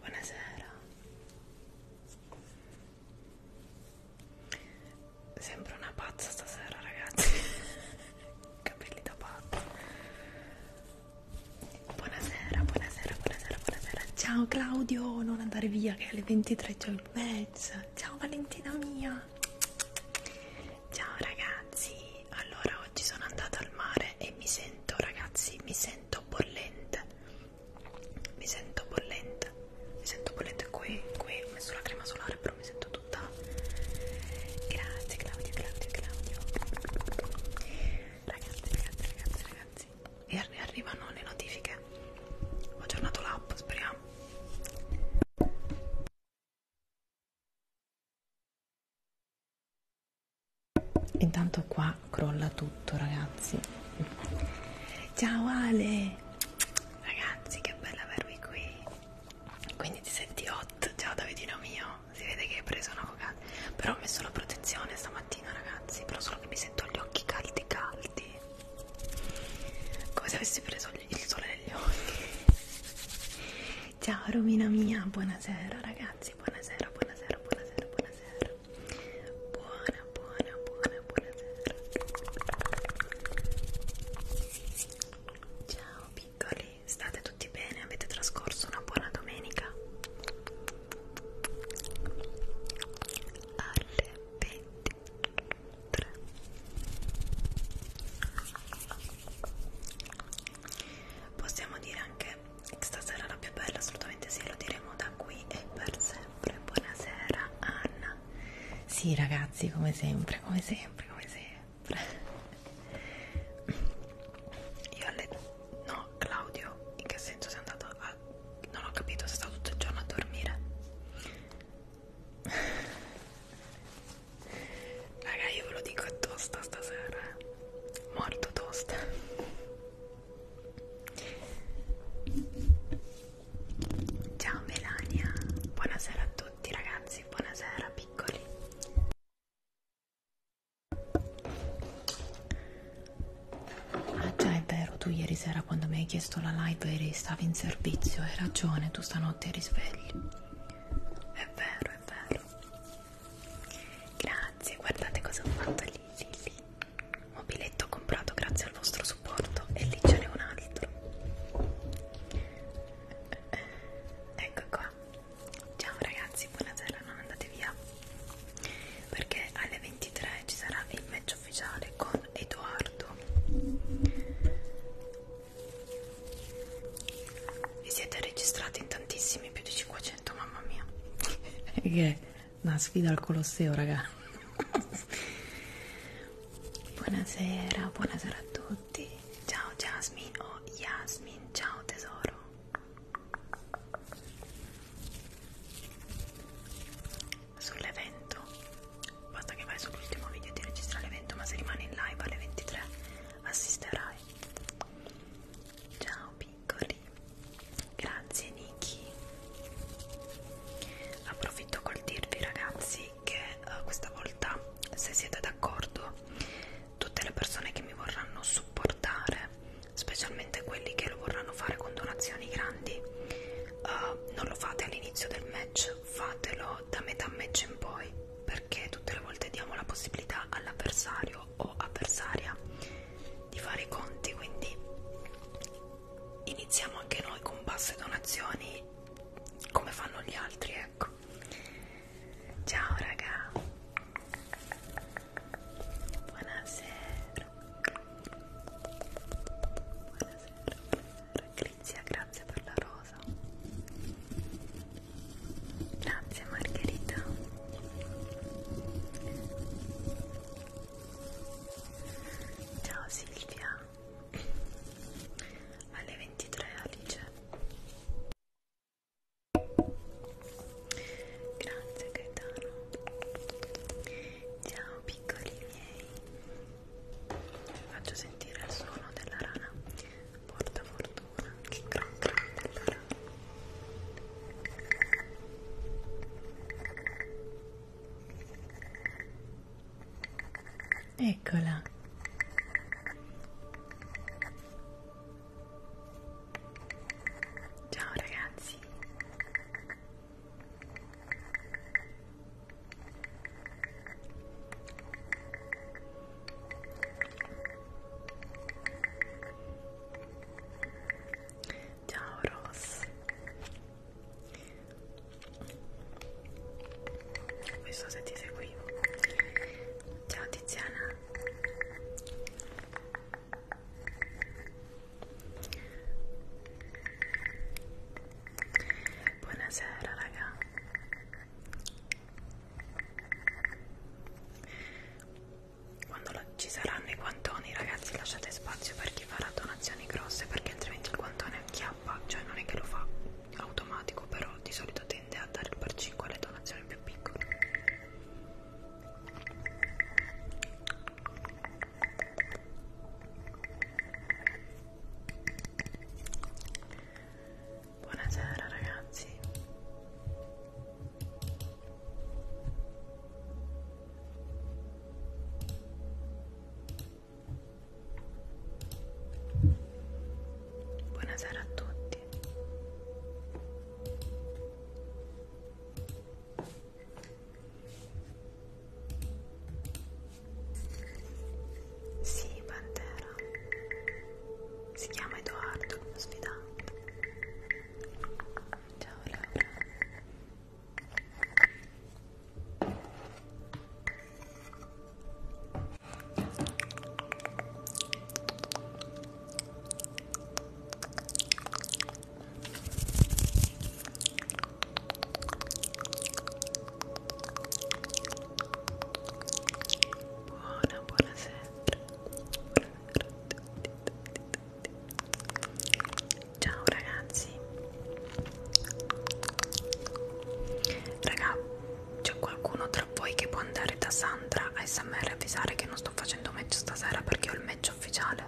Buonasera. Sembro una pazza stasera, ragazzi. Capelli da pazza. Buonasera, buonasera, buonasera, buonasera. Ciao Claudio, non andare via che alle 23 c'è il match. Ciao Valentina mia. Ciao ragazzi, allora oggi sono andata al mare e mi sento ragazzi, mi sento bollente. Mi sento bollente. Mi sento bollente qui, qui ho messo la crema solare, però mi sento tutta. Grazie Claudio, Claudio, Claudio. Ragazzi, ragazzi, ragazzi, ragazzi. E arri arrivano le notifiche. Ho aggiornato l'app, speriamo. Intanto qua crolla tutto, ragazzi. Ciao Ale! Ragazzi, che bello avervi qui. Quindi ti senti hot? Ciao Davidino mio. Si vede che hai preso una cocata. Però ho messo la protezione stamattina, ragazzi. Però solo che mi sento gli occhi caldi caldi. Come se avessi preso il sole negli occhi ciao Romina mia buonasera ragazzi buonasera buonasera buonasera buonasera buona buona buona buonasera ciao piccoli state tutti bene avete trascorso una buona domenica alle 20 3 possiamo dire anche che stasera è la più bella assolutamente sì lo diremo da qui e per sempre buonasera Anna sì ragazzi come sempre come sempre come sempre io alle no Claudio in che senso sei andato a non ho capito sei stato tutto il giorno a dormire Raga, io ve lo dico, è tosta stasera, eh. Morto tosta. Ciao Melania, buonasera a tutti ragazzi, buonasera piccoli. Ah già è vero, tu ieri sera quando mi hai chiesto la live eri, stavi in servizio, hai ragione, tu stanotte eri svegli. È vero, è vero. Grazie, guardate cosa ho fatto lì, lì, lì. Mobiletto comprato grazie al vostro supporto e lì ce n'è un altro. Ecco qua. Ciao ragazzi, buonasera, non andate via. Perché alle 23 ci sarà il match ufficiale con Edoardo vi siete registrati in tantissimi, più di 500, mamma mia. che è una sfida al Colosseo, raga. buonasera, buonasera a tutti. Ciao Jasmine o oh, Yasmin, ciao tesoro. Sull'evento Basta che vai sull'ultimo video e ti registra l'evento, ma se rimani in live alle 23 assisterai. Ciao piccoli. Grazie Niki. Approfitto col dirvi ragazzi che uh, questa volta se siete d'accordo tutte le persone che mi vorranno supportare, specialmente quelli che lo vorranno fare con donazioni grandi, uh, non lo fate all'inizio del match, fatelo da metà match in poi perché tutte le volte diamo la possibilità all'avversario o avversaria di fare i conti, quindi iniziamo anche noi con basse donazioni come fanno gli altri, ecco. Ciao raga. Buonasera. Buonasera. Patrizia, grazie per la rosa. Grazie Margherita. Ciao Silvia. Alle 23 Alice. Grazie Gaetano. Ciao piccoli miei. Vi faccio sentire il suono della rana porta fortuna che gran grande però eccola ciao ragazzi Ciao Ross. Questo se ti seguivo. Ciao Tiziana. Buonasera raga. Quando la, ci saranno i guantoni, ragazzi, lasciate spazio per chi farà donazioni grosse perché altrimenti il guantone acchiappa, cioè non è che lo fa automatico, però di solito tende a dare il per 5 alle donazioni più piccole. Buonasera ragazzi. Buonasera a tutti. Sì, Pantera si chiama Edoardo, il mio sfidato. Ciao Laura. Ciao Buona, buonasera. Buonasera a tutti. Ciao ragazzi. Raga, c'è qualcuno tra voi che può andare da Sandra a SMR e avvisare che non sto facendo match stasera perché ho il match ufficiale?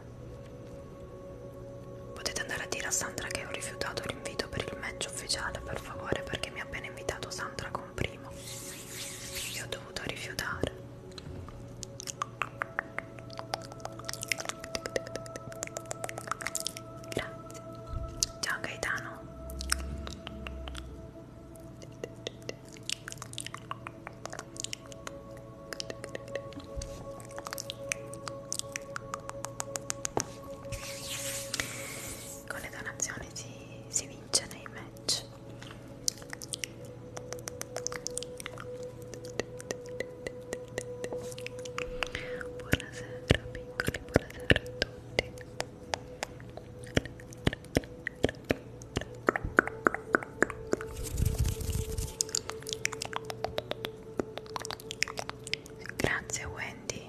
Potete andare a dire a Sandra che ho rifiutato l'invito per il match ufficiale, per favore, perché mi ha appena invitato Sandra con prima primo e ho dovuto rifiutare grazie ciao Gaetano con le donazioni si, si vince nei match buonasera piccoli buonasera a tutti grazie Wendy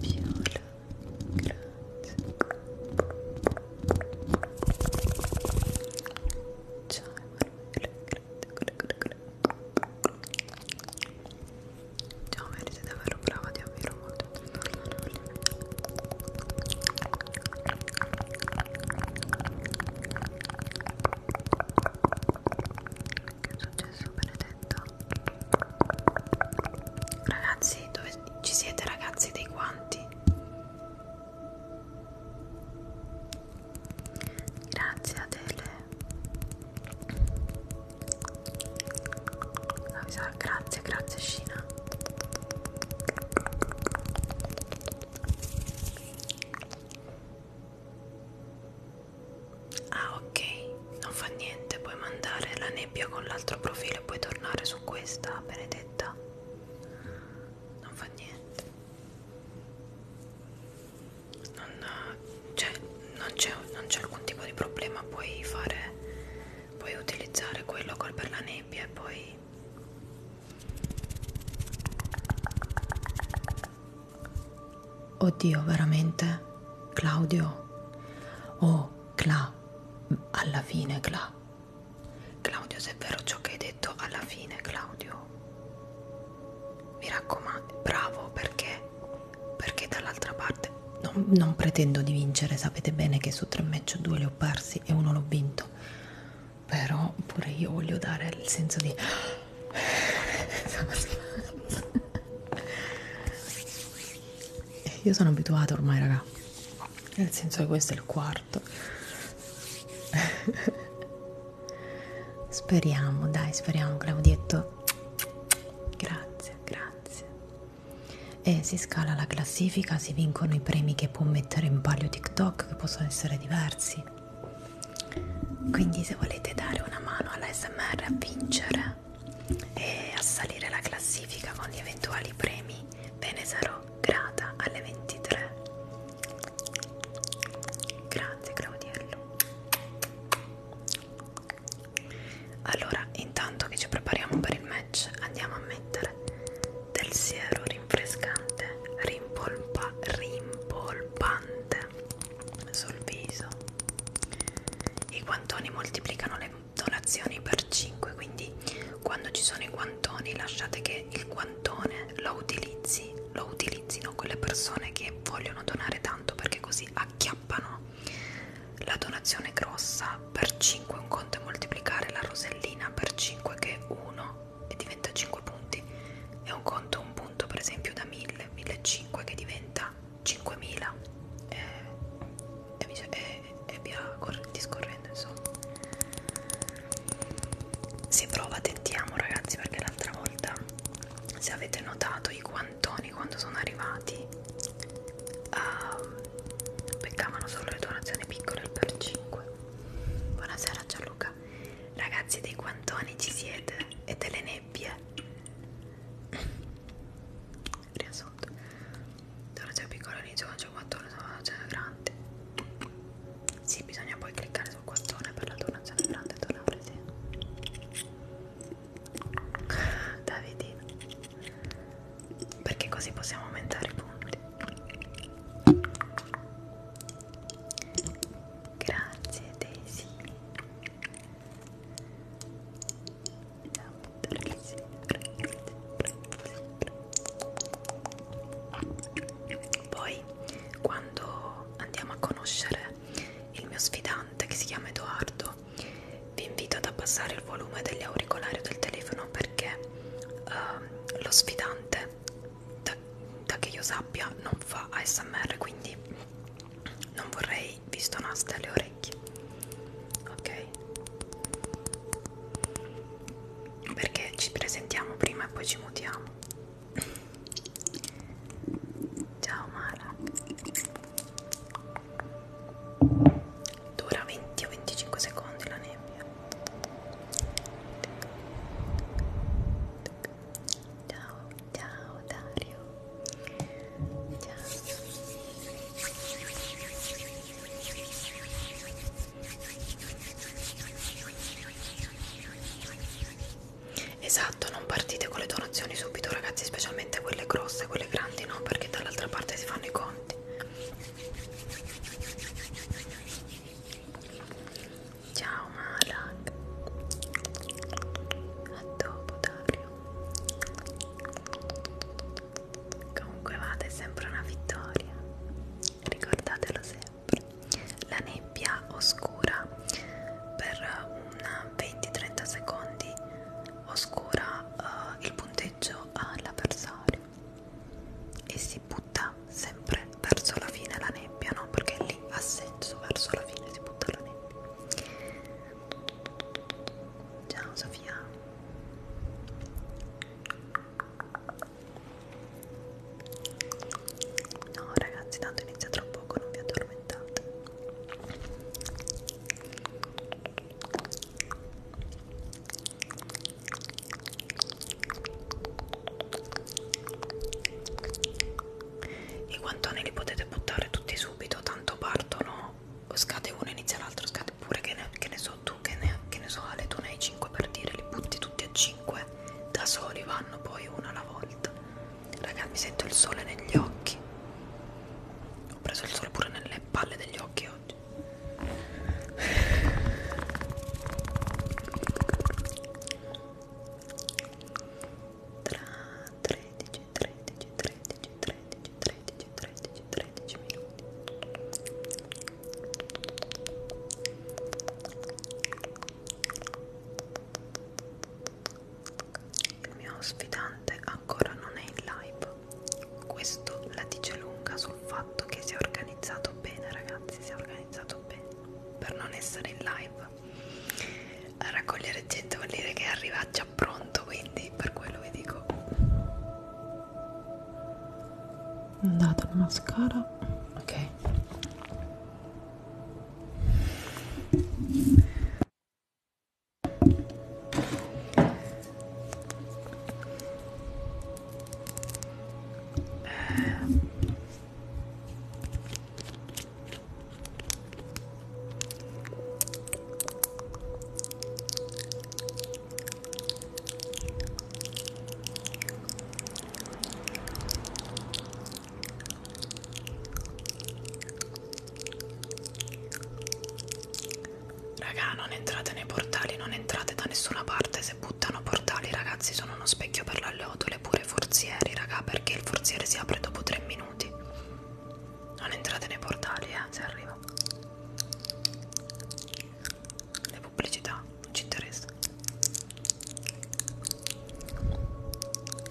Viola, grazie. Ciao Emanuele, Ciao, meriti davvero brava, ti ammiro molto. Che è successo, benedetta? Ragazzi, dove ci siete ragazzi dei quanti? Grazie Adele. Ah, grazie, grazie Scina. Ah ok, non fa niente, puoi mandare la nebbia con l'altro profilo e puoi tornare su su questa benedetta non fa niente cioè, non c'è non c'è alcun tipo di problema puoi fare puoi utilizzare quello col per la nebbia e poi oddio veramente Claudio oh Cla, alla fine Cla. Claudio, se è vero ciò che hai detto, alla fine Claudio. Mi raccomando, bravo perché? Perché dall'altra parte non, non pretendo di vincere, sapete bene che su tre match due li ho persi e uno l'ho vinto. Però pure io voglio dare il senso di... Eh, io sono abituata ormai raga nel senso che questo è il quarto speriamo dai speriamo Claudietto grazie grazie e eh, si scala la classifica si vincono i premi che può mettere in palio TikTok che possono essere diversi quindi se volete dare una mano all'SMR a vincere e a salire la classifica con gli eventuali premi ve ne sarò grata alle 23 grazie Claudiello allora intanto che ci prepariamo per il match andiamo a mettere del siero rinfrescante rimpolpa, rimpolpante sul viso i guantoni moltiplicano le donazioni per 5 quindi quando ci sono i guantoni lasciate che il guantone lo utilizzi lo utilizzino quelle persone che vogliono donare tanto perché così acchiappano la donazione grossa per 5 un conto è moltiplicare la rosellina per 5 che è 1 e diventa 5 punti è un conto un punto per esempio da 1000 1500 che diventa 5000 eh, e, e, e eh, e via discorrendo insomma si prova tentiamo ragazzi perché l'altra volta se avete notato i guantoni quando sono arrivati uh, ehm, beccavano solo le donazioni piccole per 5 buonasera Gianluca ragazzi dei guantoni ci siete e delle nebbie riassunto allora c'è piccolo all'inizio c'è un mattone c'è grande sì bisogna poi cliccare sul quattone per la donazione grande e donare sì Davidino perché così possiamo aumentare i punti grazie Daisy poi quando andiamo a conoscere il mio sfidante che si chiama Edoardo, vi invito ad abbassare il volume degli auricolari o del telefono perché uh, lo sfidante, da, da che io sappia, non fa ASMR, quindi non vorrei vi stonaste le orecchie ok? Perché ci presentiamo prima e poi ci mutiamo. Ciao Mara. Dura 20 o 25 secondi la nebbia. Ciao, ciao Dario. Ciao. Esatto, non partite con le donazioni subito ragazzi, specialmente quelle grosse, quelle grandi no, perché dall'altra parte si fanno i conti. Ciao Malak. A dopo Dario. Comunque vada, è sempre una vittoria, ricordatelo sempre. La nebbia oscura per un 20-30 secondi oscura uh, il punteggio all'avversario e si butta sempre verso la fine la nebbia, no? Perché lì ha senso, verso la fine si butta la nebbia. Ciao Sofia No ragazzi, tanto inizia tra poco, non vi addormentate. I guantoni li potete buttare tutti subito, tanto partono, scade uno inizia l'altro, scade pure che ne, che ne so due tu che ne, che ne so Ale tu ne hai 5 per dire li butti tutti a 5 da soli vanno poi uno alla volta raga mi sento il sole negli occhi ho preso il sole pure nelle palle degli occhi oggi tra 13 13 13 13 13, 13, 13 minuti il mio ospitante ancora non è in live questo la dice lunga sul fatto che si è organizzato bene ragazzi si è organizzato bene per non essere in live a raccogliere gente vuol dire che è arrivato già pronto quindi per quello vi dico dato il mascara ok Raga, non entrate nei portali, non entrate da nessuna parte. Se buttano portali, ragazzi, sono uno specchio per la lotole pure forzieri, raga, perché il forziere si apre dopo tre minuti. Non entrate nei portali, eh, se arrivo le pubblicità non ci interessa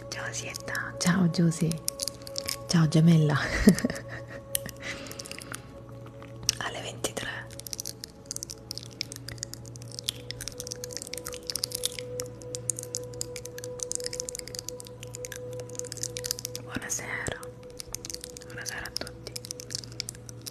ciao Sietta ciao Giusy ciao gemella alle 23 Buonasera, buonasera a tutti.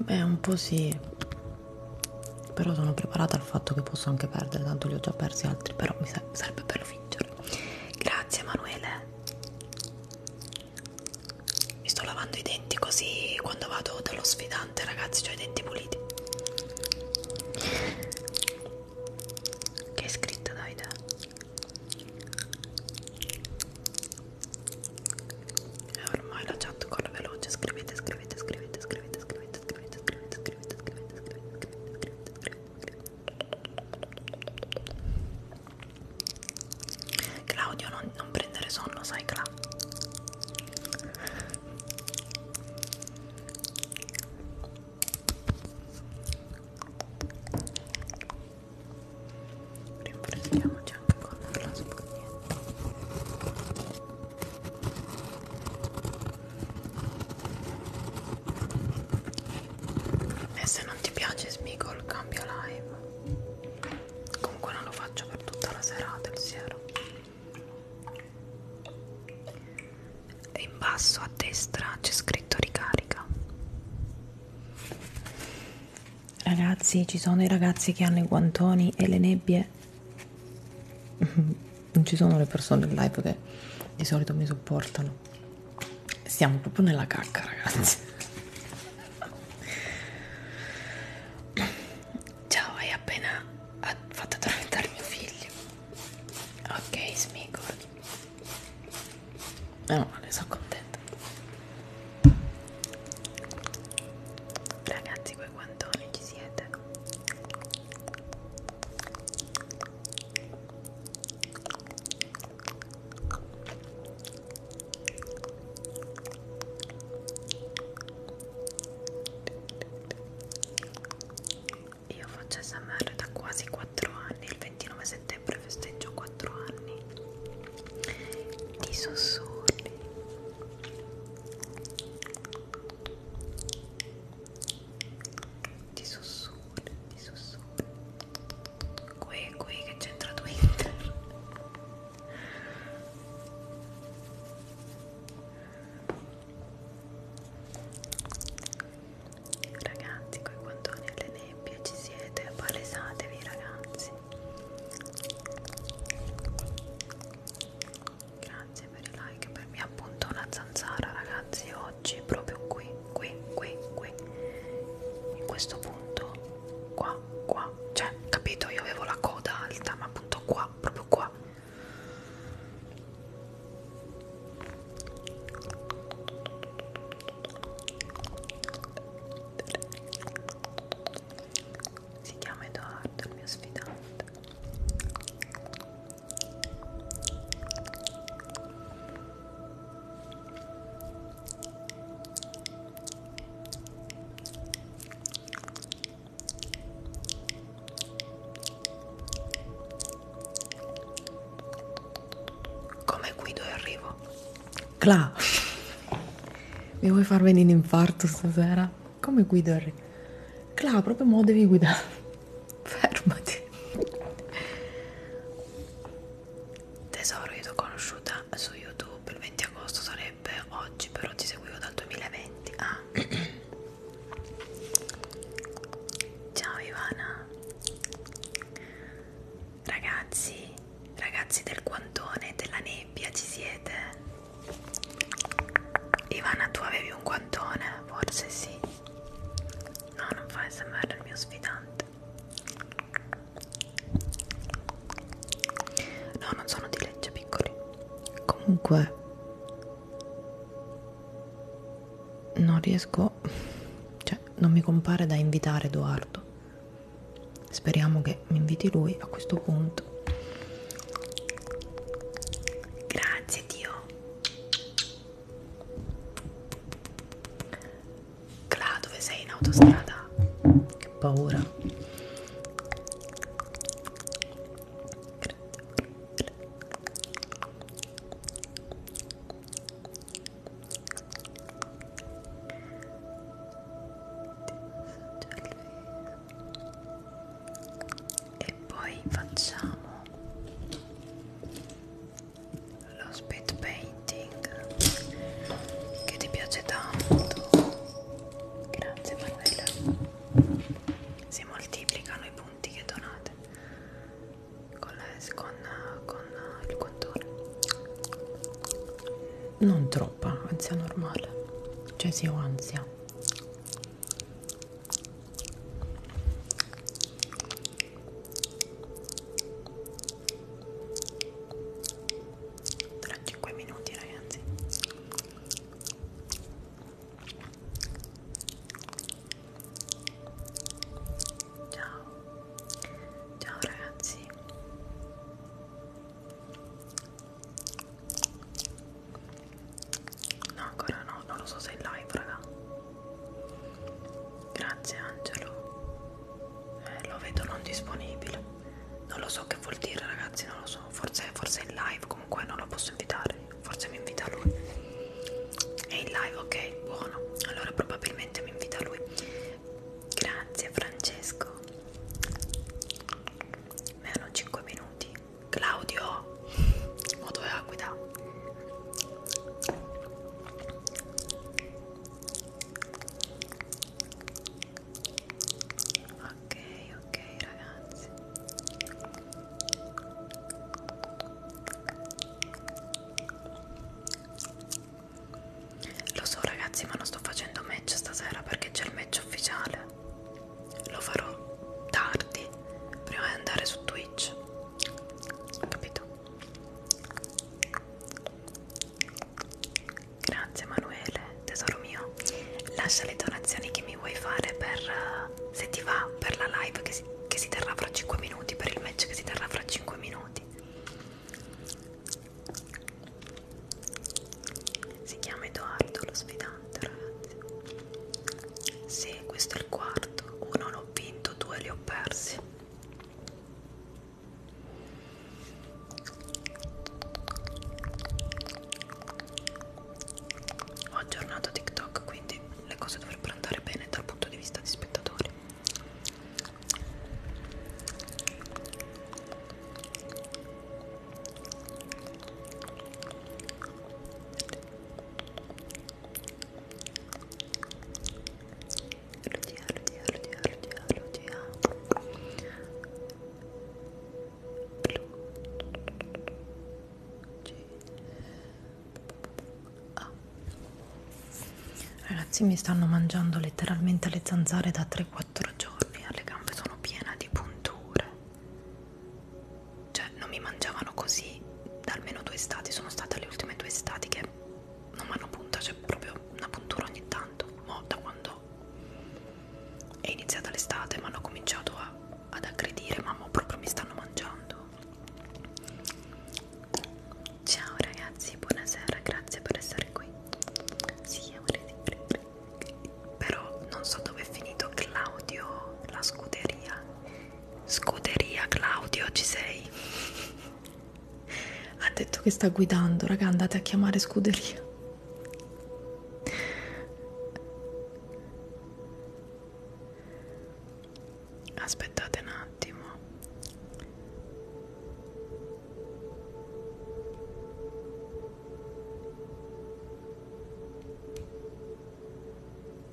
Beh, un po' sì, però sono preparata al fatto che posso anche perdere, tanto li ho già persi altri, però mi serve per fingerlo. Grazie Emanuele. Mi sto lavando i denti così quando vado dallo sfidante, ragazzi, ho i denti puliti. Che hai scritto Davide? E ormai la chat corre veloce, scrivete, scrivete, scrivete, scrivete, scrivete, scrivete, scrivete, scrivete, scrivete, scrivete, scrivete, scrivete. Claudio non prendere sonno, sai Cla rinfreschiamoci anche con la spugnetta e se non ti piace Smigol cambia live comunque non lo faccio per tutta la serata il siero e in basso a destra c'è scritto ricarica Ragazzi, ci sono i ragazzi che hanno i guantoni e le nebbie. Non ci sono le persone in live che di solito mi supportano. Siamo proprio nella cacca, ragazzi. Ciao, hai appena fatto addormentare mio figlio. Ok, Smigol. Meno male, sono contenta. Ragazzi, voi guantoni ci siete? Io faccio SMR da quasi 4 anni, il 29 settembre festeggio 4 anni di sussurri ti sussurri, ti sussurri. Qui, qui che c'entra Twitter. Ragazzi, coi quantoni alle nebbie ci siete, palesatevi ragazzi grazie grazie per i like per me appunto una zanzara ragazzi oggi proprio qui qui qui qui in questo punto qua qua cioè capito io avevo la coda alta ma appunto qua proprio qua si chiama Edoardo il mio sfidato come guido e arrivo Cla mi vuoi far venire in infarto stasera? Come guido il re? Cla, proprio mo devi guidare. Fermati. Tesoro, io ti ho conosciuta su YouTube il 20 agosto sarebbe oggi, però ti seguivo dal 2020. Ah. Ciao Ivana. Ragazzi, ragazzi del guantone, della nebbia, ci siete? Ivana tu avevi un guantone? Forse sì No non fa smr il mio sfidante No non sono di legge piccoli Comunque Non riesco Cioè non mi compare da invitare Edoardo Speriamo che mi inviti lui a questo punto. Grazie Dio. Cla, dove sei in autostrada? Che paura. Grazie e poi facciamo lo speed painting che ti piace tanto grazie Manuela si moltiplicano i punti che donate con, la, con, con il contorno non troppa ansia normale cioè se ho ansia tra 5 minuti ragazzi ciao ciao ragazzi No, ancora no, non lo so se è live, raga. Grazie Angelo. Eh, lo vedo non disponibile. Non lo so che vuol dire, ragazzi, non lo so. Forse, forse è in live, comunque non lo posso invitare. Forse mi invita lui. È in live, ok, buono. Allora probabilmente mi invita lui. Grazie Francesco ma erano 5 minuti Claudio modo aquida ok ok ragazzi lo so ragazzi ma non sto facendo match stasera perché c'è il match ufficiale lo farò tardi prima di andare su Twitch capito? grazie Emanuele tesoro mio lascia le donazioni che mi vuoi fare per eh, se ti va per la live che si, che si terrà fra 5 minuti per il match che si terrà fra 5 minuti si chiama Edoardo lo sfidante ragazzi sì questo è il quarto uno l'ho vinto due li ho persi ho aggiornato TikTok quindi le cose dovrebbero andare bene dal punto di vista di spettatori Lucia, Lucia, Lucia, Lucia, Lucia. Ah. Ragazzi mi stanno mangiando letteralmente le zanzare da 3-4 giorni, le gambe sono piene di punture cioè non mi mangiavano così da almeno due estati, sono state le ultime due estati che non mi hanno punta, c'è cioè proprio una puntura ogni tanto, ma da quando è iniziata l'estate mi hanno cominciato a, ad aggredire, mamma proprio mi stanno mangiando. Ciao ragazzi, buonasera, grazie per essere qui. Sì, amore di però non so dove è finito Claudio, la scuderia. Scuderia Claudio, ci sei? Ha detto che sta guidando, raga, andate a chiamare scuderia. Aspettate un attimo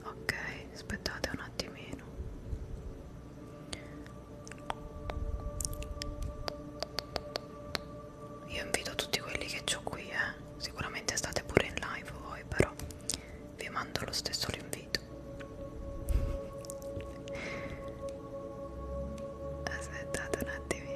ok aspettate un attimino io invito tutti quelli che ho qui eh. sicuramente state pure in live voi però vi mando lo stesso l'invito aspettate un attimino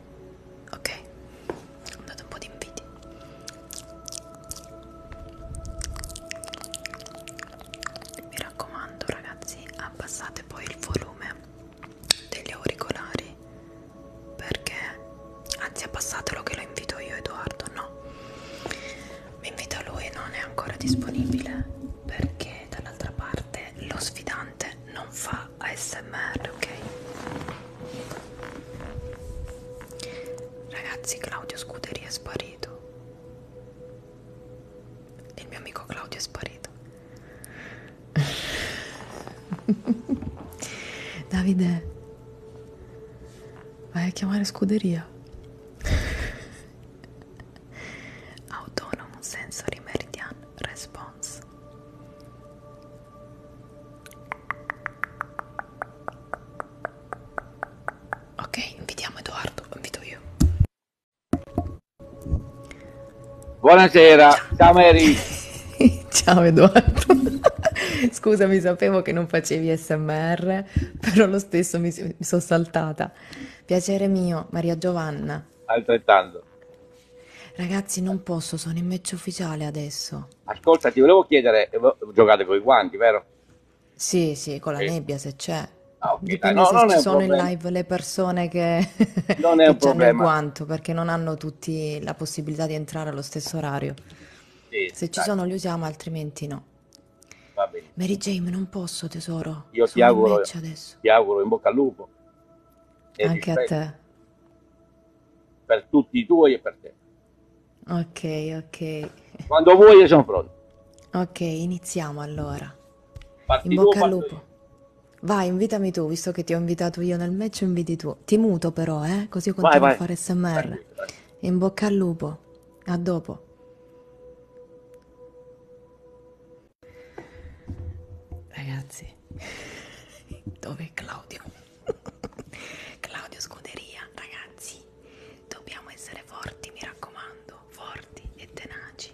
ok ho dato un po' di invidia mi raccomando ragazzi abbassate poi il volume degli auricolari perché anzi abbassatelo che lo invito io Edoardo no mi invita lui non è ancora disponibile perché dall'altra parte lo sfidante non fa fa ASMR, ok? Ragazzi, Claudio Scuderi è sparito. Il mio amico Claudio è sparito. Davide, vai a chiamare Scuderia. Autonomo Sensory Meridian response ok invitiamo Edoardo invito io buonasera ciao, ciao Mary ciao Edoardo Scusami, sapevo che non facevi SMR, però lo stesso mi, mi sono saltata. Piacere mio, Maria Giovanna. Altrettanto. Ragazzi, non posso, sono in match ufficiale adesso. Ascolta, ti volevo chiedere, eh, giocate con i guanti, vero? Sì, sì, con la sì. nebbia se c'è. Ah, okay, Dipende no, se ci sono problema. in live le persone che, non è che un hanno il guanto, perché non hanno tutti la possibilità di entrare allo stesso orario. Sì, se dai. ci sono li usiamo, altrimenti no. Va bene. Mary Jane, non posso tesoro. Io sono ti auguro, ti auguro in bocca al lupo. E Anche a te. Per tutti i tuoi e per te. Ok, ok. Quando vuoi io sono pronto. Ok, iniziamo allora. Parti In bocca tu, al lupo. Io. Vai, invitami tu, visto che ti ho invitato io nel match, inviti tu. Ti muto però, eh? Così io continuo vai, vai. a fare smr. Vai, In bocca al lupo. A dopo. Ragazzi, dove è Claudio? Claudio Scuderia, ragazzi, dobbiamo essere forti, mi raccomando, forti e tenaci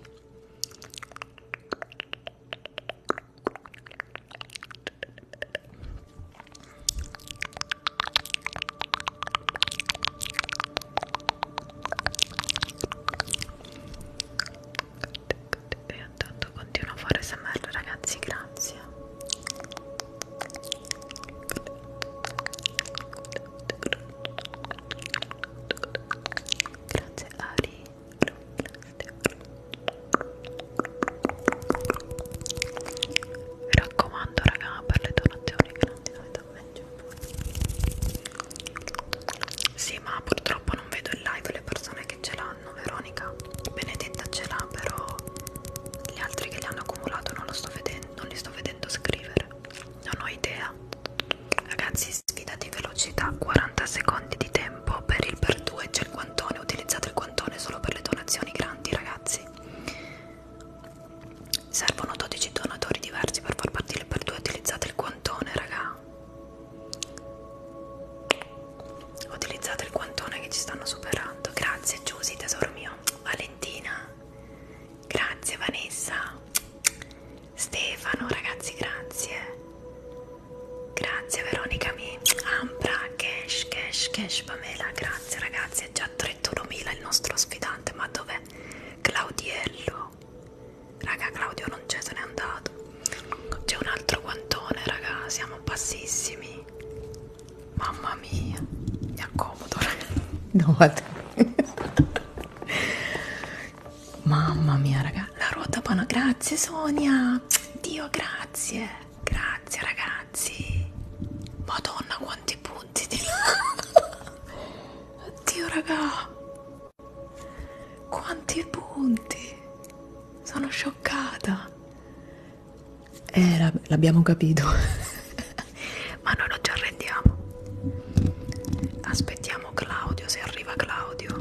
good, good. e intanto continuo a fare smr ragazzi grazie grazie Ari mi raccomando raga per le donazioni che non ti dovete ammettere sì ma purtroppo non vedo in live le persone che ce l'hanno Veronica Benedetta ce l'ha però gli altri che li hanno accumulato non, lo sto vedendo, non li sto vedendo scrivere non ho idea ragazzi sfida di velocità 40 secondi di tempo per il per 2 c'è il quantone utilizzate il quantone solo per le donazioni grandi ragazzi servono 12 donatori diversi per far partire il per 2 utilizzate il quantone raga ho utilizzato il quantone che ci stanno superando. Grazie Giusy, tesoro mio. Valentina. Grazie Vanessa. Stefano, ragazzi, grazie. Grazie Veronica mi Ambra, Cash, Cash, Cash, Pamela, grazie ragazzi, è già 31.000 il nostro sfidante, ma dov'è? Claudiello, raga Claudio non c'è, se n'è andato. C'è un altro guantone, raga, siamo bassissimi. Mamma mia, mi accomodo. Raga. No, Mamma mia, raga, la ruota buona. Grazie Sonia. Dio, grazie. Grazie ragazzi. Madonna, quanti punti di Oddio, raga. Quanti punti sono scioccata eh l'abbiamo capito ma noi non ci arrendiamo aspettiamo Claudio se arriva Claudio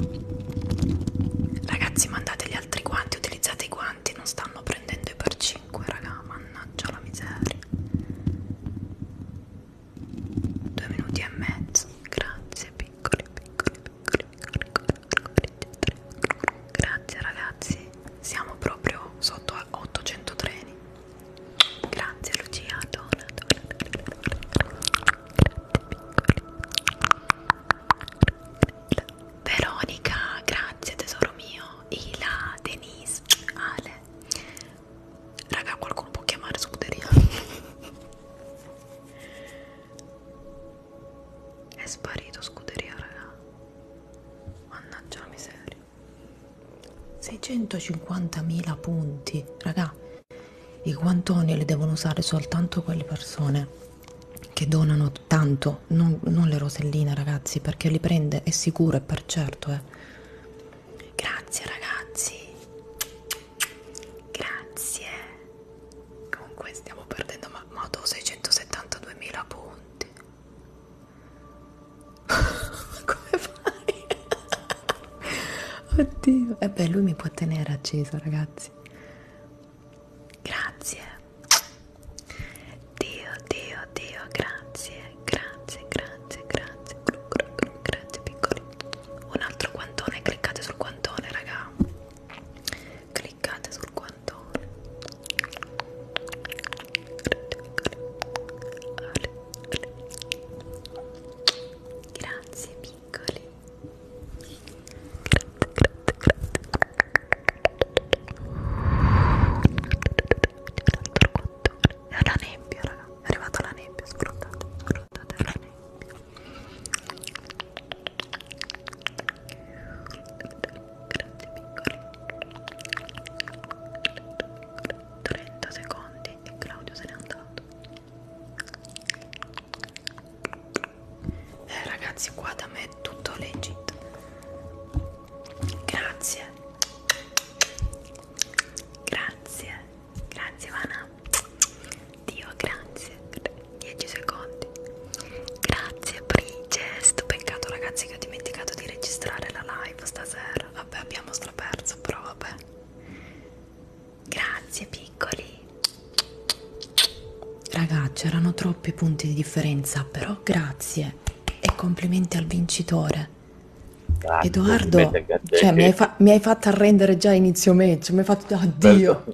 ragazzi mandate gli altri guanti utilizzate i guanti non stanno prendendo i per 5 raga mannaggia la miseria due minuti e mezzo grazie piccoli piccoli Grazie ragazzi, siamo proprio sotto a 800 treni. Grazie Lucia, dona, dona, dona. Veronica, grazie tesoro mio. Ila, Denise, Ale. Raga, qualcuno può chiamare scuderia. È sparito scuderia, raga. Mannaggia la miseria. 650.000 punti, raga. I guantoni li devono usare soltanto quelle persone che donano tanto, non, non le roselline, ragazzi, perché li prende, è sicuro, è per certo, eh. Grazie, ragazzi. Grazie. Comunque stiamo perdendo ma modo 672.000 punti. Come fai? Oddio. E eh beh, lui mi può tenere acceso, ragazzi. Grazie. Dio, Dio, Dio, grazie, grazie, grazie, grazie. Grazie piccoli. Un altro guantone, cliccate sul guantone, raga cliccate sul guantone grazie piccoli è la nebbia raga è arrivata la nebbia scruttate scruttate la nebbia 30 secondi e Claudio se n'è andato eh, ragazzi qua da me è tutto legit grazie grazie grazie Vana Dio, grazie. 10 secondi. Grazie, Brigest. Peccato, ragazzi, che ho dimenticato di registrare la live stasera. Vabbè, abbiamo straperso, però vabbè. Grazie, piccoli. Ragazzi, erano troppi punti di differenza, però grazie. E complimenti al vincitore. Grazie, Edoardo, cioè, mi, hai mi hai fatto arrendere già inizio match, mi hai fatto... Oddio! Bello.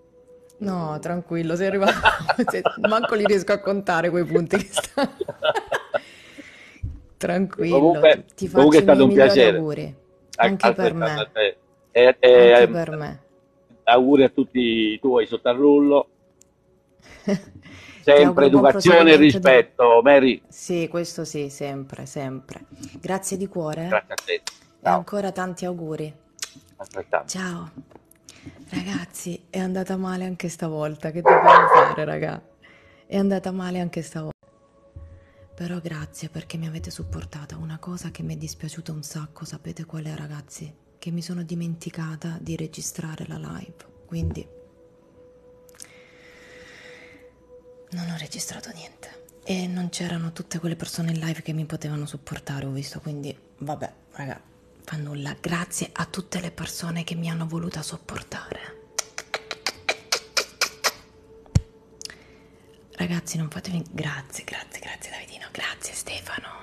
No, tranquillo, sei arrivato. Manco li riesco a contare quei punti che stanno. tranquillo, comunque, ti faccio comunque è stato un piacere. auguri. Anche a- per me. E, e, Anche per me. Auguri a tutti i tuoi sotto al rullo. sempre educazione e rispetto, da... Mary. Sì, questo sì, sempre, sempre. Grazie di cuore. Eh. Grazie a te. Ciao. E ancora tanti auguri. Altrettanto. Ciao. Ragazzi, è andata male anche stavolta. Che dobbiamo fare, raga? È andata male anche stavolta. Però grazie perché mi avete supportata. Una cosa che mi è dispiaciuta un sacco, sapete qual è, ragazzi? Che mi sono dimenticata di registrare la live. Quindi non ho registrato niente. E non c'erano tutte quelle persone in live che mi potevano supportare, ho visto, quindi vabbè, raga, fa nulla. Grazie a tutte le persone che mi hanno voluta sopportare. Ragazzi, non fatevi. Grazie, grazie, grazie, Davidino. Grazie, Stefano.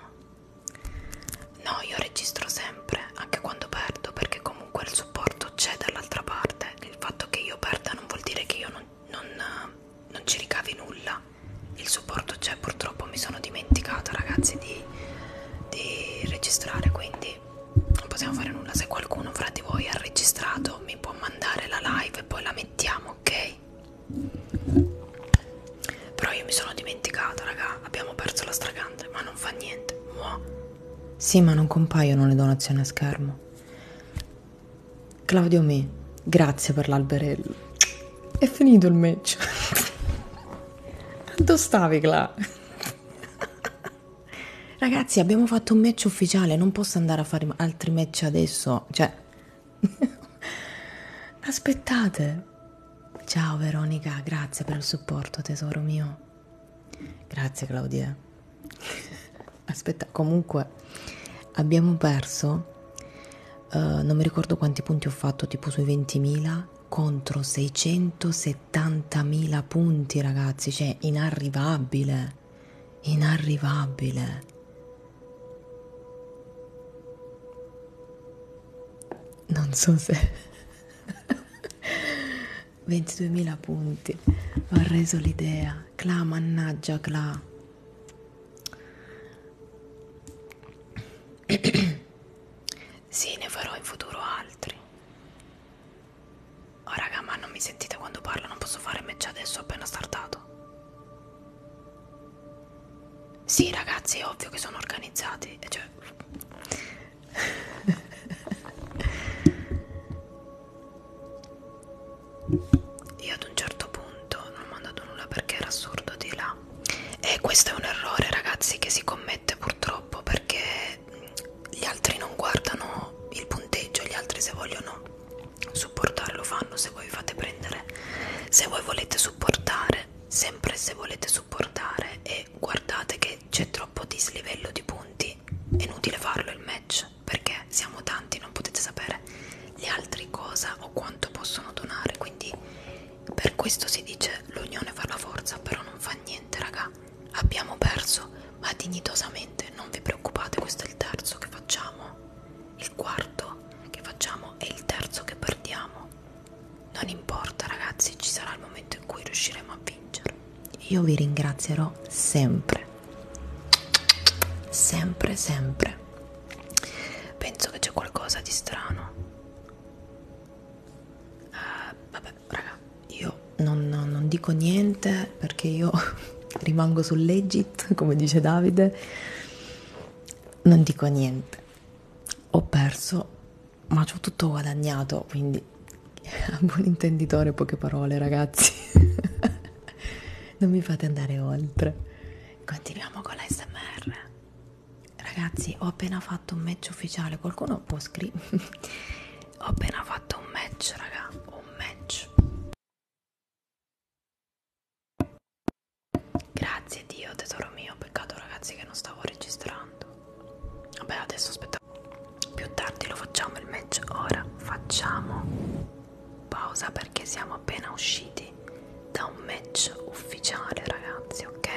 No, io registro sempre, anche quando perdo, perché comunque il supporto c'è dall'altra parte. Il fatto che io perda non vuol dire che io non, non, non ci ricavi nulla il supporto c'è purtroppo mi sono dimenticata ragazzi di, di registrare quindi non possiamo fare nulla se qualcuno fra di voi ha registrato mi può mandare la live e poi la mettiamo ok però io mi sono dimenticata raga abbiamo perso la stragante ma non fa niente Mua. sì ma non compaiono le donazioni a schermo Claudio Mi, grazie per l'alberello. È finito il match. Quanto stavi, là? Ragazzi, abbiamo fatto un match ufficiale, non posso andare a fare altri match adesso. Cioè... Aspettate. Ciao Veronica, grazie per il supporto, tesoro mio. Grazie Claudia. Aspetta, comunque abbiamo perso Uh, non mi ricordo quanti punti ho fatto, tipo sui 20.000 contro 670.000 punti, ragazzi, cioè inarrivabile, inarrivabile. Non so se 22.000 punti, ho reso l'idea. Cla, mannaggia, Cla. sì, ne farò in futuro altri. Oh raga, ma non mi sentite quando parlo, non posso fare match adesso, ho appena startato. Sì ragazzi, è ovvio che sono organizzati, cioè... Io ad un certo punto non ho mandato nulla perché era assurdo di là e questo è un errore ragazzi che si commette purtroppo perché gli altri non guardano il punteggio gli altri se vogliono supportarlo fanno se voi fate prendere se voi volete supportare sempre se volete supportare e guardate che c'è troppo dislivello di punti è inutile farlo il match perché siamo tanti non potete sapere gli altri cosa o quanto possono donare quindi per questo si dice l'unione fa la forza, però non fa niente, raga. Abbiamo perso, ma dignitosamente, non vi preoccupate, questo è il terzo che facciamo. Il quarto che facciamo è il terzo che perdiamo. Non importa, ragazzi, ci sarà il momento in cui riusciremo a vincere. Io vi ringrazierò sempre. Sempre, sempre penso che c'è qualcosa di strano uh, vabbè raga io non, non, non dico niente perché io rimango sul legit come dice Davide non dico niente ho perso ma ci ho tutto guadagnato quindi a buon intenditore poche parole ragazzi non mi fate andare oltre continuiamo con l'ASMR Ragazzi, ho appena fatto un match ufficiale. Qualcuno può scrivere? ho appena fatto un match, raga. Un match. Grazie Dio, tesoro mio. Peccato, ragazzi, che non stavo registrando. Vabbè, adesso aspetta. Più tardi lo facciamo il match. Ora facciamo pausa perché siamo appena usciti fuori da un match ufficiale ragazzi ok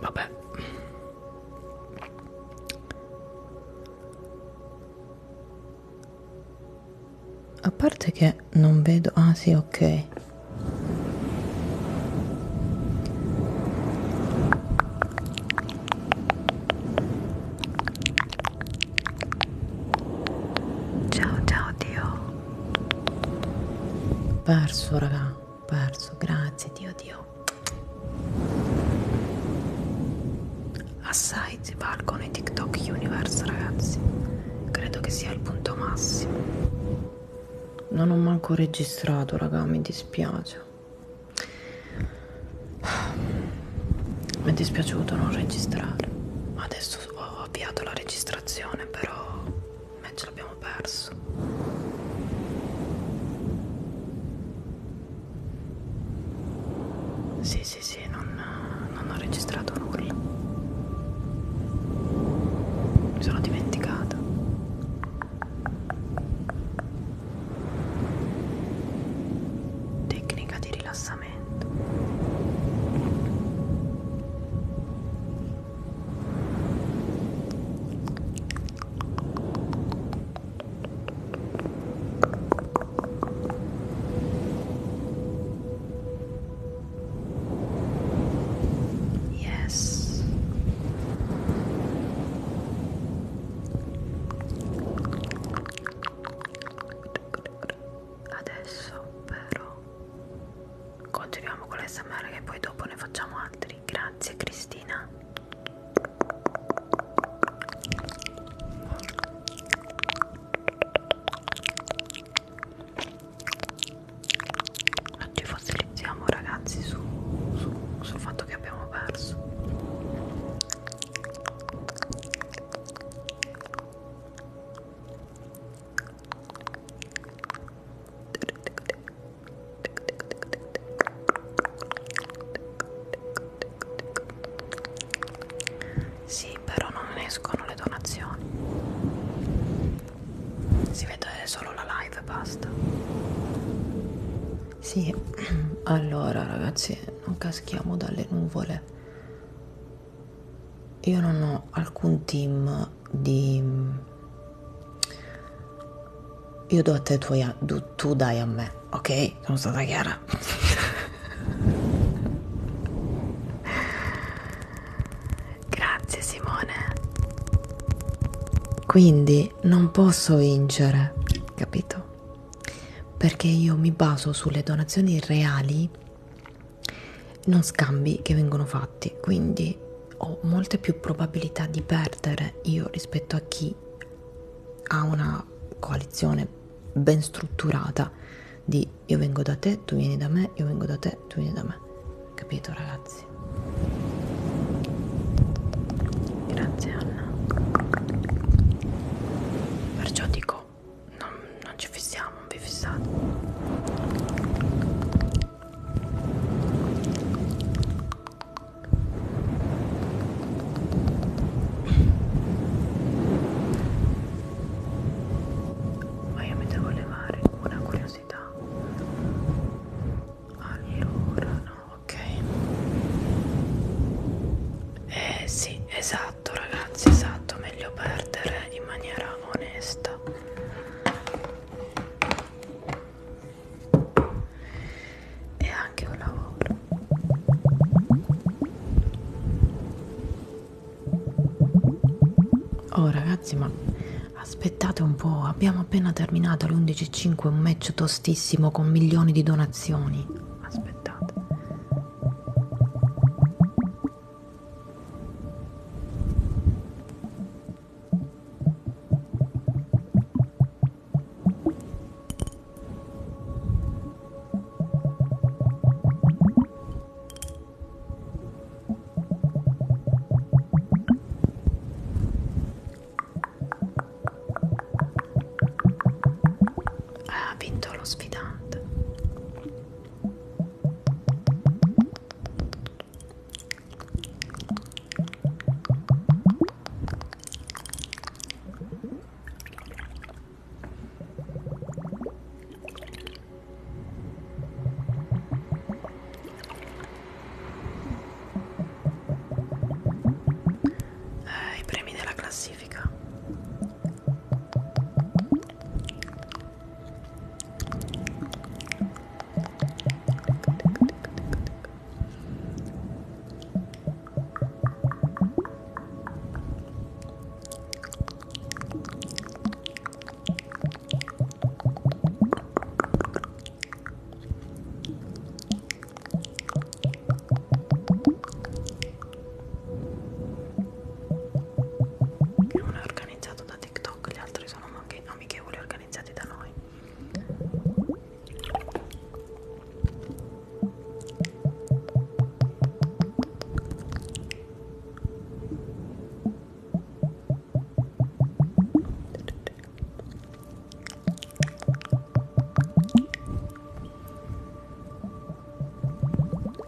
vabbè a parte che non vedo ah sì ok Ciao ciao Dio. Perso raga, perso, grazie Dio Dio. Assai si valgono i TikTok Universe ragazzi. Credo che sia il punto massimo. Non ho manco registrato, raga, mi dispiace. Mi è dispiaciuto non registrare. Adesso ho avviato la registrazione, però me ce l'abbiamo perso. Sì, sì, sì, non, non ho registrato nulla. Mi sono dimenticata. Tecnica di rilassamento. Yes. Adesso però continuiamo con l'SMR che poi dopo ne facciamo altri. Grazie Cristina non ci fossilizziamo ragazzi su, su, sul fatto che abbiamo perso sì però non escono le donazioni si vede solo la live e basta sì allora ragazzi non caschiamo dalle nuvole io non ho alcun team di io do a te tu, a... tu dai a me ok sono stata chiara grazie Simone quindi quindi non posso vincere, capito? Perché io mi baso sulle donazioni reali, non scambi che vengono fatti, quindi ho molte più probabilità di perdere io rispetto a chi ha una coalizione ben strutturata di io vengo da te, tu vieni da me, io vengo da te, tu vieni da me. Capito ragazzi? Grazie. Grazie Anna. Perciò dico, non, non ci fissiamo, non vi fissate. Ma io mi devo levare una curiosità curiosità allora no ok eh sì esatto ragazzi esatto meglio perdere in maniera onesta è anche un lavoro oh ragazzi ma Aspettate un po', abbiamo appena terminato alle 11.05 un match tostissimo con milioni di donazioni. Aspettate. Ah, ha vinto lo sfidante eh, i premi della classifica uno è organizzato da TikTok, gli altri sono amichevoli organizzati da noi.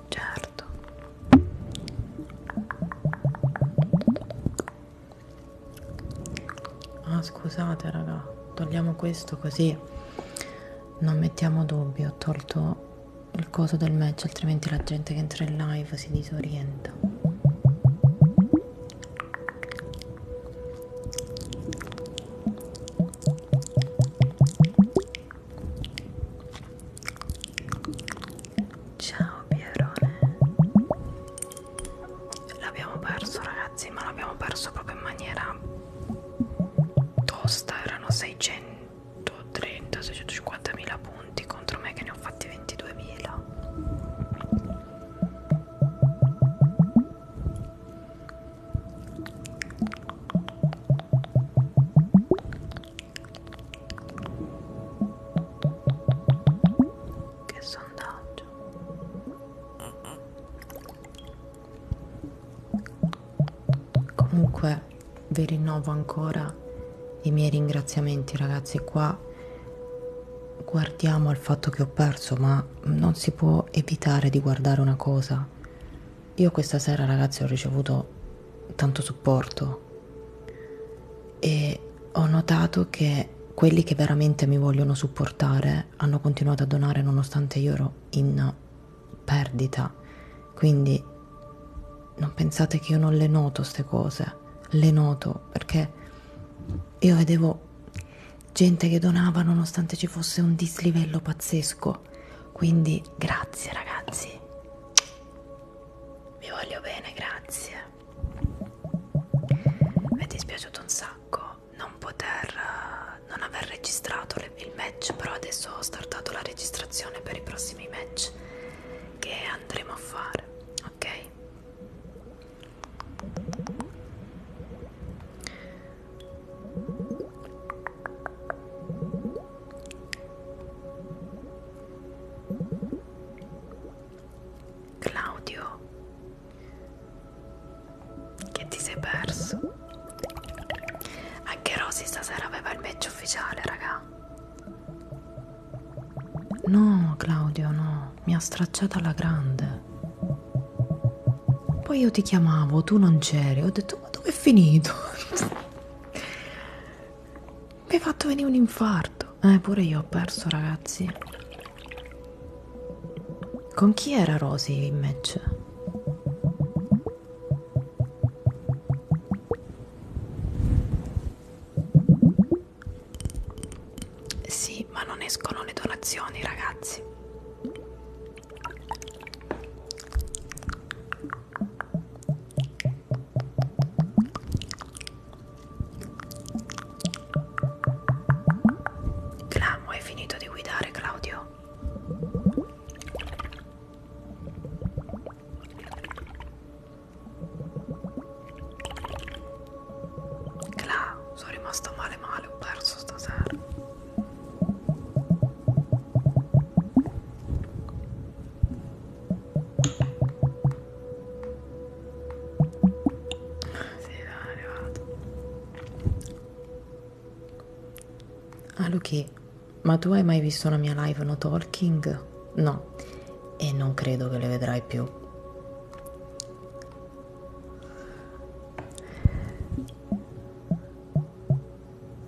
Certo. Ah, scusate, raga. Togliamo questo così non mettiamo dubbi. Ho tolto il coso del match, altrimenti la gente che entra in live si disorienta. Ciao Pierone L'abbiamo perso ragazzi ma l'abbiamo perso proprio in maniera tosta erano 630 650 mila punti contro me che ne ho fatti 22.000 che sondaggio. Comunque vi rinnovo ancora i miei ringraziamenti ragazzi qua guardiamo al fatto che ho perso, ma non si può evitare di guardare una cosa. Io questa sera, ragazzi, ho ricevuto tanto supporto e ho notato che quelli che veramente mi vogliono supportare hanno continuato a donare nonostante io ero in perdita. Quindi non pensate che io non le noto queste cose, le noto perché io vedevo gente che donava nonostante ci fosse un dislivello pazzesco. Quindi grazie ragazzi. Vi voglio bene, grazie. Mi è dispiaciuto un sacco non poter eh, non aver registrato le, il match, però adesso ho startato la registrazione per i prossimi match che andremo a fare, ok? Claudio che ti sei perso anche Rosy stasera aveva il match ufficiale raga no Claudio no mi ha stracciata alla grande. Poi io ti chiamavo, tu non c'eri, ho detto ma dove è finito? mi hai fatto venire un infarto. Eh, pure io ho perso ragazzi. Con chi era Rosy in match? Sì, ma non escono le donazioni, ragazzi. Clamo, hai finito di guidare, Claudio? Cla, sono rimasta male male, ho perso stasera. Sì, è arrivato. Ah, Luchi, ma tu hai mai visto una mia live no talking? No, e non credo che le vedrai più.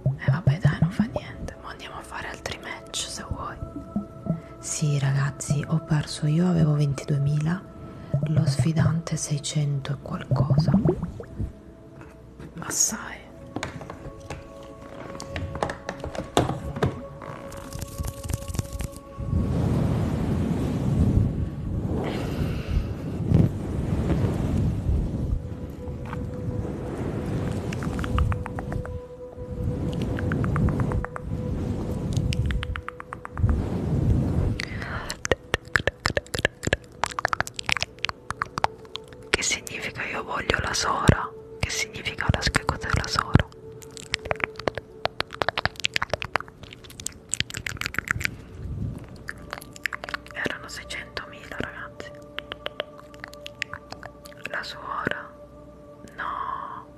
E eh vabbè dai, non fa niente, ma andiamo a fare altri match se vuoi. Sì ragazzi, ho perso io, avevo 22.000, lo sfidante 600 e qualcosa. Ma sai. Che significa io voglio la sora? Che significa la schiacciata della sora? erano 600.000 ragazzi la suora no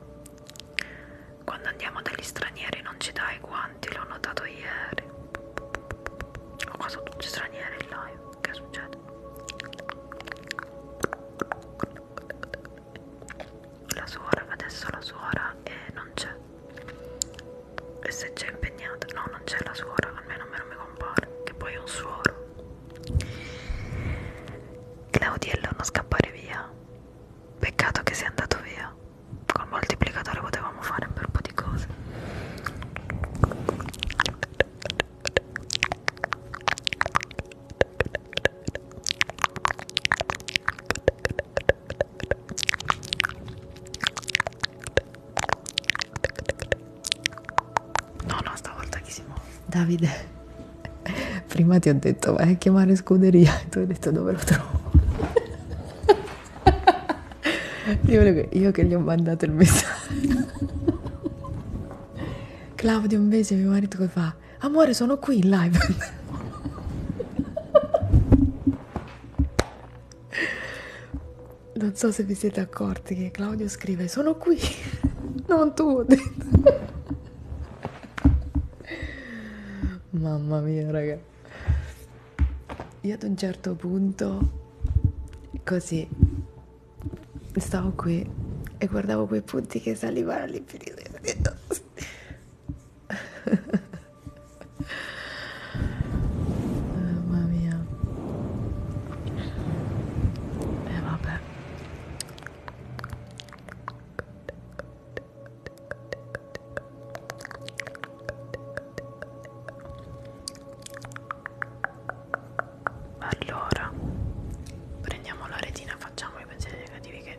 quando andiamo dagli stranieri non ci dai guanti l'ho notato ieri ho quasi tutti stranieri in live che succede la suora, adesso la suora e non c'è e se c'è impegnata, no non c'è la suora, almeno a me non mi compare, che poi è un suoro Claudiello non scappare via peccato che sia andato via col moltiplicatore potevamo fare un bel po' di cose No, no, stavolta chi si muove? Davide, prima ti ho detto vai a chiamare scuderia e tu hai detto dove lo trovo. Io che gli ho mandato il messaggio. Claudio invece mio marito che fa amore sono qui in live non so se vi siete accorti che Claudio scrive sono qui non tu mamma mia raga io ad un certo punto così stavo qui e guardavo quei punti che salivano all'infinito e ho detto Mamma mia. E eh, vabbè. Allora, prendiamo la retina, facciamo i pensieri negativi che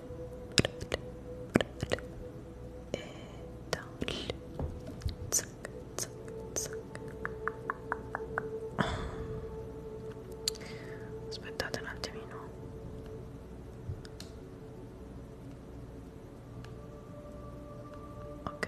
e down zac, zac, zac. aspettate un attimino ok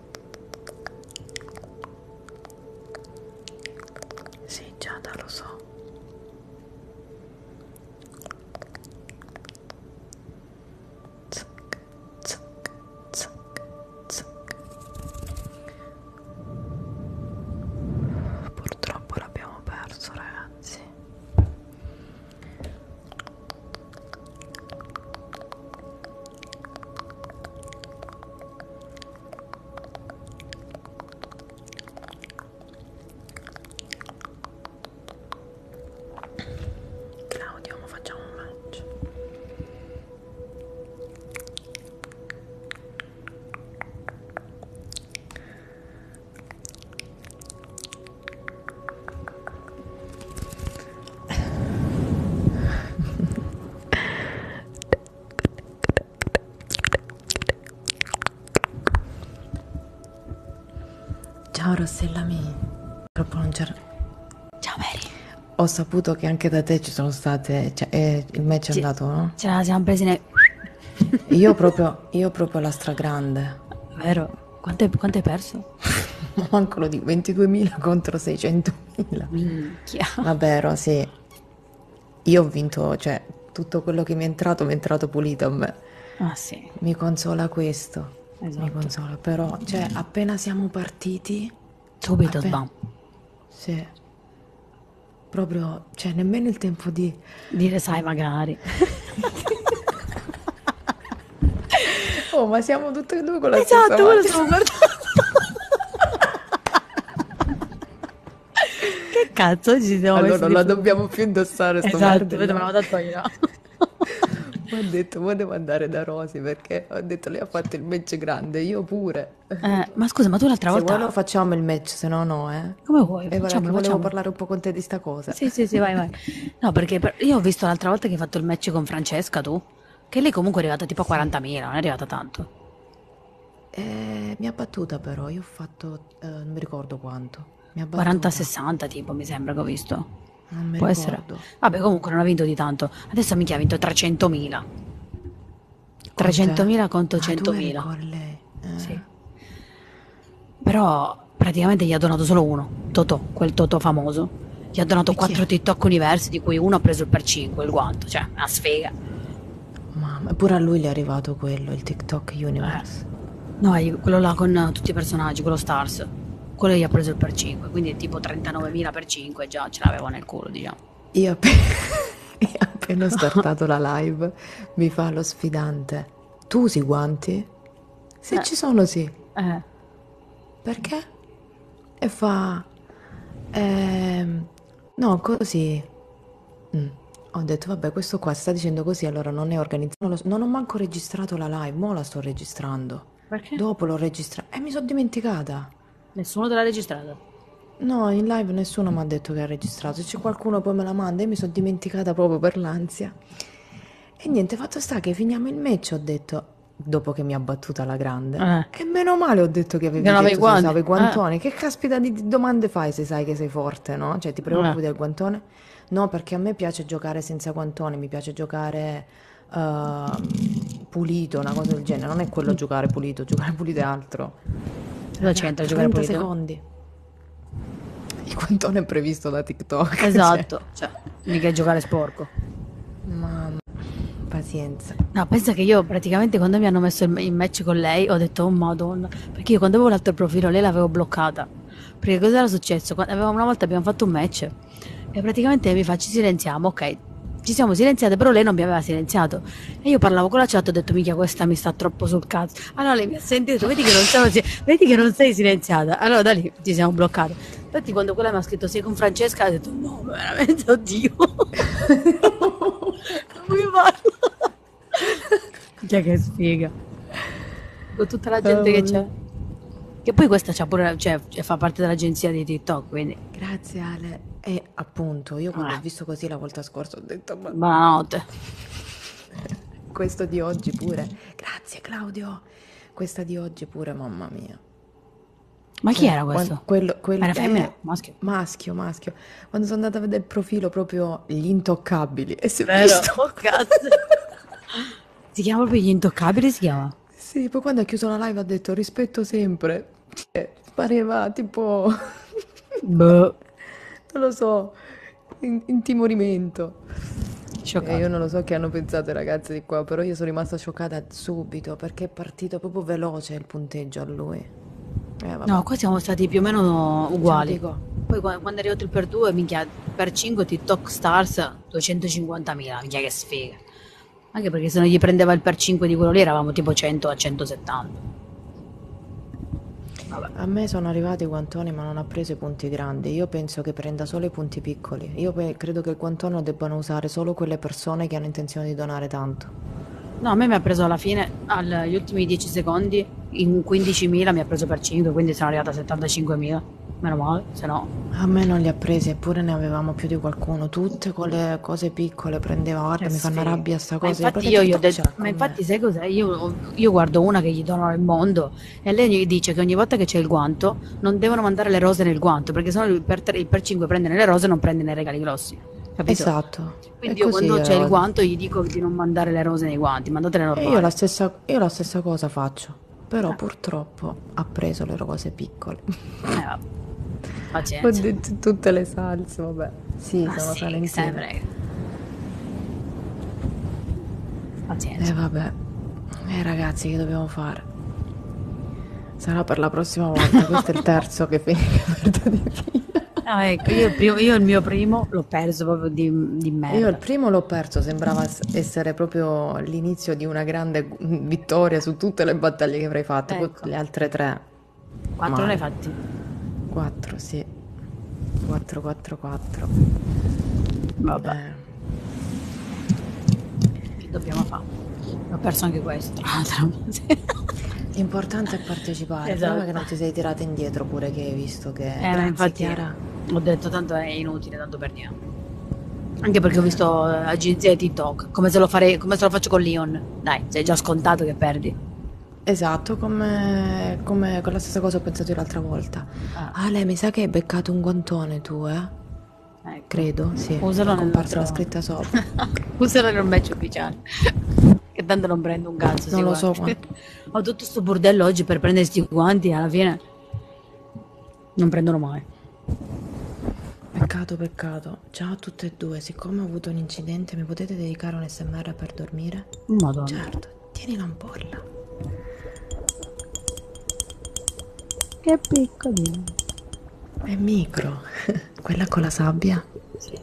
Sì, Giada, lo so. Zac, zac, zac, zac. Purtroppo l'abbiamo perso, ragazzi. Claudio ma facciamo un lancio Ciao Rossella mi. Purtroppo non c'era. Ciao Mary. Ho saputo che anche da te ci sono state. Cioè, eh, il match è Ci- andato, no? Ce la siamo presi nel... Io proprio, io proprio la stragrande. Vero? Quanto hai, quanto hai perso? Manco lo di 22.000 contro 600.000. Minchia. Vabbè, Ro, sì, io ho vinto, cioè, tutto quello che mi è entrato mi è entrato pulito a me. Ah sì. Mi consola questo. Esatto. Mi consola, però, cioè, mm. appena siamo partiti... Subito, appena... bam. Sì. Proprio, cioè, nemmeno il tempo di... Dire, sai, magari. oh, ma siamo tutte e due con la esatto, stessa Esatto, quello stavo guardando. che cazzo oggi siamo Allora non la dobbiamo più indossare esatto, sto esatto, vedevamo da togliere. Mi ha detto, ma devo andare da Rosi perché ho detto lei ha fatto il match grande, io pure. Eh, ma scusa, ma tu l'altra se volta... Se vuoi facciamo il match, se no no, eh. Come vuoi, E facciamo, volevo facciamo. parlare un po' con te di sta cosa. Sì, sì, sì, vai, vai. No, perché per... io ho visto l'altra volta che hai fatto il match con Francesca, tu. Che lei comunque è arrivata tipo a 40.000, non è arrivata tanto. Eh, mi ha battuta però, io ho fatto, eh, non mi ricordo quanto. 40-60 tipo, mi sembra che ho visto. Non mi Può ricordo. essere. Vabbè, comunque non ha vinto di tanto. Adesso mica ha vinto 300.000. 300.000 contro 100.000. Ah, con lei. Eh. Sì. Però praticamente gli ha donato solo uno, Totò, quel Totò famoso. Gli ha donato quattro TikTok universi, di cui uno ha preso il per 5, il guanto. Cioè, cioè, una sfiga. Mamma, pure a lui gli è arrivato quello, il TikTok Universe. Eh. No, quello là con tutti i personaggi, quello Stars. Quello gli ha preso il per 5, quindi tipo 39.000 per 5 già ce l'avevo nel culo, diciamo. Io appena, io appena ho startato la live mi fa lo sfidante. Tu usi guanti? Se eh. ci sono sì. Eh. Perché? E fa... Eh, No, così. Mm. Ho detto, vabbè, questo qua sta dicendo così, allora non è organizzato. Non, lo- non ho manco registrato la live, mo la sto registrando. Perché? Dopo l'ho registrata. E eh, mi sono dimenticata. Nessuno te l'ha registrata. No, in live nessuno mi ha detto che ha registrato. Se c'è qualcuno poi me la manda, io mi sono dimenticata proprio per l'ansia. E niente, fatto sta che finiamo il match, ho detto, dopo che mi ha battuta la grande. Eh. E meno male ho detto che avevi non detto guanti. se guantone. Eh. Che caspita di domande fai se sai che sei forte, no? Cioè, ti preoccupi eh. del guantone? No, perché a me piace giocare senza guantone, mi piace giocare uh, pulito, una cosa del genere. Non è quello giocare pulito, giocare pulito è altro. Cosa c'entra giocare pulito? secondi. Il guantone è previsto da TikTok. Cioè. Esatto, cioè, cioè mica giocare sporco. Mamma Pazienza. No, pensa che io praticamente quando mi hanno messo il, il match con lei ho detto oh madonna, perché io quando avevo l'altro profilo lei l'avevo bloccata. Perché cosa era successo? Quando, una volta abbiamo fatto un match e praticamente mi fa ci silenziamo, ok, ci siamo silenziate, però lei non mi aveva silenziato. E io parlavo con la chat, ho detto, mica questa mi sta troppo sul cazzo. Allora lei mi ha sentito, vedi che non, sono, vedi che non sei silenziata. Allora da lì ci siamo bloccati. Infatti quando quella mi ha scritto sei con Francesca, ho detto, no, veramente, oddio. non mi parla. Cioè che sfiga. Con tutta la gente oh, che c'è. Che poi questa c'ha pure, cioè, cioè, fa parte dell'agenzia di TikTok, quindi. Grazie Ale. E appunto, io quando ah. ho visto così la volta scorsa ho detto... Ma... Buonanotte. Questo di oggi pure. Grazie Claudio. Questa di oggi pure, mamma mia. Ma chi eh, era questo? Quello, quello era femmina? Eh, maschio. Maschio, maschio. Quando sono andata a vedere il profilo proprio gli intoccabili. E si è visto. Oh, cazzo. si chiama proprio gli intoccabili, si chiama? Sì, poi quando ha chiuso la live ha detto rispetto sempre. Cioè, pareva tipo... Boh. non lo so, in- intimorimento. Scioccata. Eh, io non lo so che hanno pensato i ragazzi di qua, però io sono rimasta scioccata subito perché che è partito proprio veloce il punteggio a lui. Eh, no, qua siamo stati più o meno uguali. Poi quando è arrivato il per 2, minchia, per 5 TikTok Stars 250.000, minchia che sfiga. Anche perché se non gli prendeva il per 5 di quello lì eravamo tipo 100 a 170. Vabbè. A me sono arrivati i guantoni ma non ha preso i punti grandi, io penso che prenda solo i punti piccoli, io credo che il guantono debbano usare solo quelle persone che hanno intenzione di donare tanto fatto. No, a me mi ha preso alla fine, agli ultimi 10 secondi, in 15.000 mi ha preso per 5, quindi sono arrivata a 75.000. Meno male, se no. A me non li ha presi, eppure ne avevamo più di qualcuno. Tutte quelle cose piccole prendeva, guarda, eh mi sì. fanno rabbia sta cosa. Ma infatti, io, io detto, ma infatti sai cos'è? Io, io, guardo una che gli donano il mondo e lei gli dice che ogni volta che c'è il guanto non devono mandare le rose nel guanto, perché sennò il per, 3, il per 5 prende nelle rose e non prende nei regali grossi. Capito? Esatto. Quindi io quando c'è il eh. guanto gli dico di non mandare le rose nei guanti, mandatele normali. Io la, stessa, io la stessa, cosa faccio, però eh. purtroppo ha preso le rose piccole. Eh, pazienza. Ho detto tutte le salse, vabbè. Sì, ah, sono sì, salentine. Pazienza. E eh, vabbè. Eh ragazzi, che dobbiamo fare? Sarà per la prossima volta, questo è il terzo che finisce per di No, ecco, io il, primo, io il, mio primo l'ho perso proprio di, di merda. Io il primo l'ho perso, sembrava essere proprio l'inizio di una grande vittoria su tutte le battaglie che avrei fatto, ecco. le altre tre. Quattro ne hai fatti? Quattro, sì. 4, 4, 4. Vabbè. Eh. Che dobbiamo fare? Ho perso anche questo, tra l'altro. L'importante importante esatto. è partecipare. Esatto. Prima che non ti sei tirata indietro pure che hai visto che... Eh, Grazie, infatti Chiara. ho detto tanto è inutile, tanto per niente. Anche perché ho visto eh, agenzie di TikTok, come se, lo fare, come se lo faccio con Leon. Dai, sei già scontato che perdi. Esatto, come, come con la stessa cosa ho pensato io l'altra volta. Ah. Ale, ah, mi sa che hai beccato un guantone tu, eh? Ecco. Credo, sì. Usalo nel comparsa nostro... la scritta sopra. Usalo in un match ufficiale. Che tanto non prendo un cazzo. Non lo guarda. so. Ma... Ho tutto sto bordello oggi per prendere sti guanti. Alla fine non prendono mai. Peccato, peccato. Ciao a tutte e due. Siccome ho avuto un incidente, mi potete dedicare un SMR per dormire? Madonna. Certo, tieni l'ampolla. Che piccolino. È micro. Quella con la sabbia bomboniera? Sì.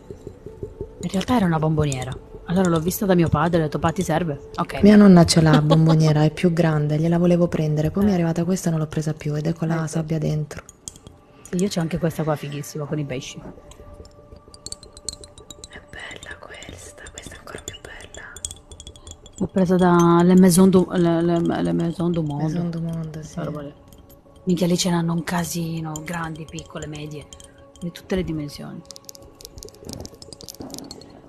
In realtà era una bomboniera. Allora l'ho vista da mio padre e ho detto, pa, ti serve? Ok. Mia nonna ce l'ha, bomboniera, è più grande, gliela volevo prendere, poi eh. mi è arrivata questa e non l'ho presa più ed è con ecco la eh, sabbia dentro. Io c'ho anche questa qua fighissima con i pesci. È bella questa, questa è ancora più bella. L'ho presa da Le Maison du, le, le, le Maison du Monde. Maison du Monde, sì. Minchia, lì ce n'hanno un casino, grandi, piccole, medie, di tutte le dimensioni.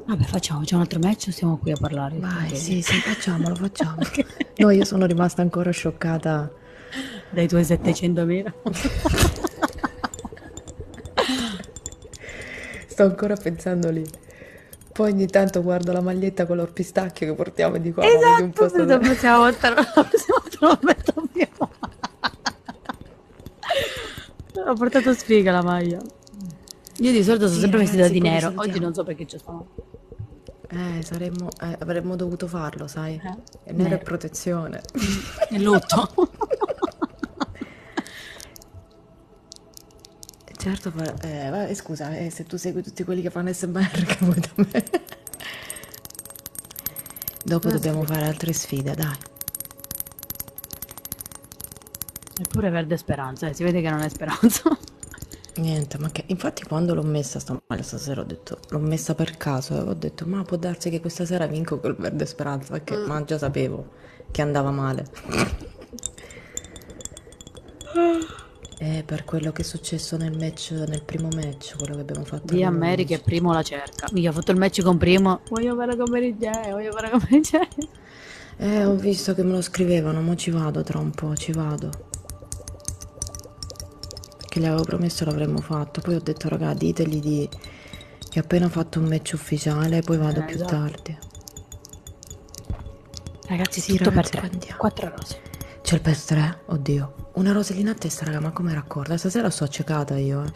Vabbè, facciamo, c'è un altro match o stiamo qui a parlare? Vai, sì, sì, facciamolo, facciamo. okay. No, io sono rimasta ancora scioccata. Dai tuoi 700.000? Sto ancora pensando lì. Poi ogni tanto guardo la maglietta color pistacchio che partiamo di qua. Esatto, un po dove... possiamo voltare la prossima volta Ho portato sfiga la maglia. Io di solito sono sì, sempre vestita di nero, salutiamo. oggi non so perché ci sono. Eh, saremmo, eh, avremmo dovuto farlo, sai? Eh? È nero, nero è protezione. È lutto. certo, eh, vabbè, eh, scusa, eh, se tu segui tutti quelli che fanno SMR, che vuoi da me? Dopo Ma dobbiamo sì. fare altre sfide, dai. Eppure perde speranza, eh. si vede che non è speranza. Niente, ma che infatti quando l'ho messa stamane cioè, stasera ho detto l'ho messa per caso e eh, ho detto ma può darsi che questa sera vinco col verde speranza perché mm. ma già sapevo che andava male. e eh, per quello che è successo nel match nel primo match match quello che abbiamo fatto. Di America e Primo la cerca. Mica ho fatto il match con Primo. Voglio fare come l'idea, voglio fare come l'idea. Eh, ho visto che me lo scrivevano, ma ci vado tra un po', ci vado. Che gli avevo promesso l'avremmo fatto. Poi ho detto, raga, ditegli di... che ho appena fatto un match ufficiale, poi vado eh, più esatto. tardi. Ragazzi, sì, tutto ragazzi, per tre. Andiamo. Quattro rose. C'è il PES 3? Oddio. Una rosellina a testa, raga, ma come raccorda? Stasera sto accecata io, eh.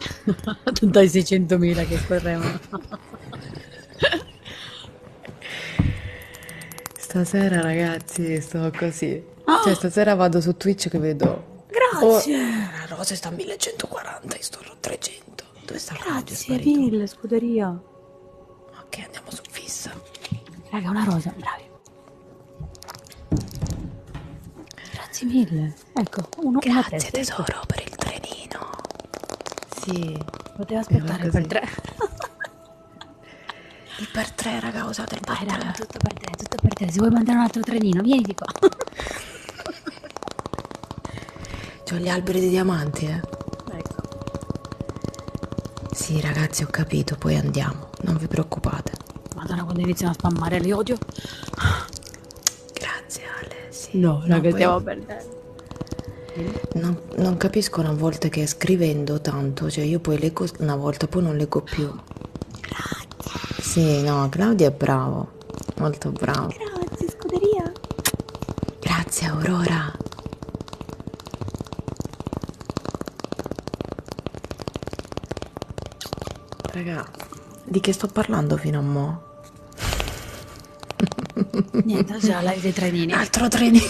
Dai 600.000 che correvano. stasera, ragazzi, sto così. Oh. Cioè, stasera vado su Twitch che vedo... Grazie! Oh, la rosa sta a 1140, io sto a 300. Dove sta Grazie, radio? Grazie mille, scuderia. Ok, andiamo su fissa. Raga, una rosa, bravi. Grazie mille. Ecco, uno, Grazie tesoro per il trenino. Sì, poteva aspettare per tre. il per tre, raga, usate il per Vai, tre. Raga, tutto per te, tutto per te. Se vuoi mandare un altro trenino, vieni di qua. C'ho gli alberi di diamanti, eh. Ecco. Sì, ragazzi, ho capito, poi andiamo non vi preoccupate. Madonna, quando iniziano a spammare li odio. Grazie Ale, sì. No, no, che stiamo perdendo. Non, non capisco una volta che scrivendo tanto, cioè io poi leggo una volta, poi non leggo più. Grazie. Sì, no, Claudio è bravo, molto bravo. Grazie, scuderia. Grazie, Aurora. Raga, di che sto parlando fino a mo'? Niente, già live dei trenini. Altro trenino.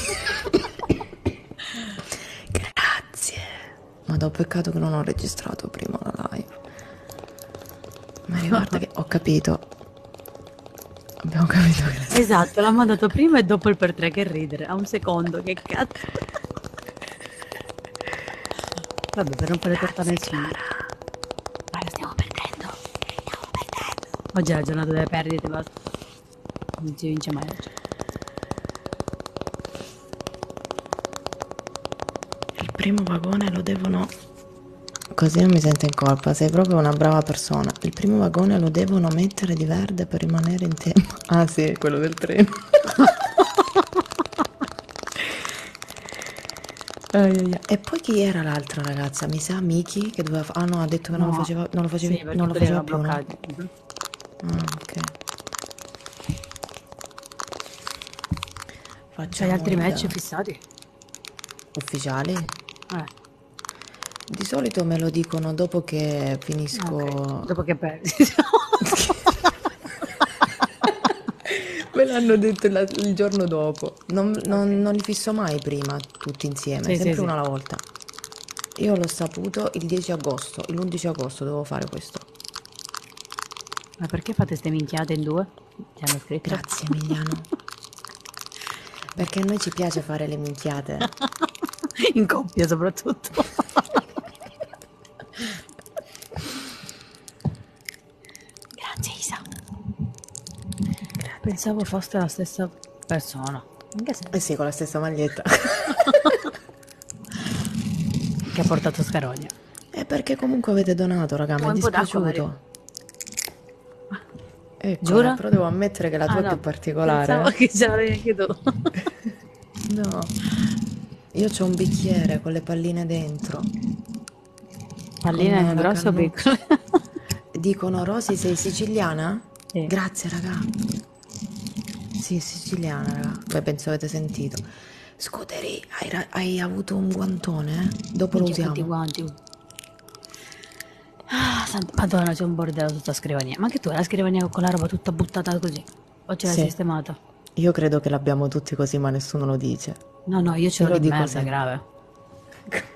Grazie. Ma da peccato che non ho registrato prima la live. Ma guarda che ho capito. Abbiamo capito che Esatto, l'ha mandato prima e dopo il per tre che ridere. A un secondo, che cazzo. Vabbè, per rompere Grazie, torta nessuno. Guarda, stiamo perdendo. Stiamo perdendo. Oggi è la giornata delle perdite, basta. Non si vince mai oggi. Il primo vagone lo devono... Così non mi sento in colpa, sei proprio una brava persona. Il primo vagone lo devono mettere di verde per rimanere in tempo. Ah sì, quello del treno. e poi chi era l'altra ragazza? Mi sa Miki che doveva ah no ha detto che non no. lo faceva non lo facevi sì, non lo faceva più. No? Ah, ok. Facciamo C'hai altri match da... fissati? Ufficiali? Eh. Di solito me lo dicono dopo che finisco. Okay. Dopo che perdi. Me l'hanno detto la- il giorno dopo. Non, non- non li fisso mai prima, tutti insieme, Sì, sì, sempre sì. una alla volta. Io l'ho saputo il 10 agosto, l'11 agosto dovevo fare questo. Ma perché fate ste minchiate in due? Ti hanno scritto? Grazie Emiliano, perché a noi ci piace fare le minchiate. in coppia soprattutto. Grazie Isa. Grazie. Pensavo fosse la stessa persona. Eh sì, con la stessa maglietta. che ha portato Scarogna. È perché comunque avete donato, raga, mi è dispiaciuto. Ecco, Giuro? però devo ammettere che la tua ah, è no. più particolare. Pensavo che già l'avrei anche tu. no. Io ho un bicchiere con le palline dentro. Palline grosso o piccolo? Dicono Rosy sei siciliana? Sì. Grazie raga. Sì, siciliana raga. Beh, penso avete sentito. Scuteri, hai, hai, avuto un guantone? Eh? Dopo lo usiamo. Guanti. Ah, madonna, c'è un bordello tutta la scrivania. Ma anche tu hai la scrivania con la roba tutta buttata così. O ce l'hai Sì. sistemata? Io credo che l'abbiamo tutti così, ma nessuno lo dice. No, no, io ce Io l'ho lo di dico merda, sempre. grave.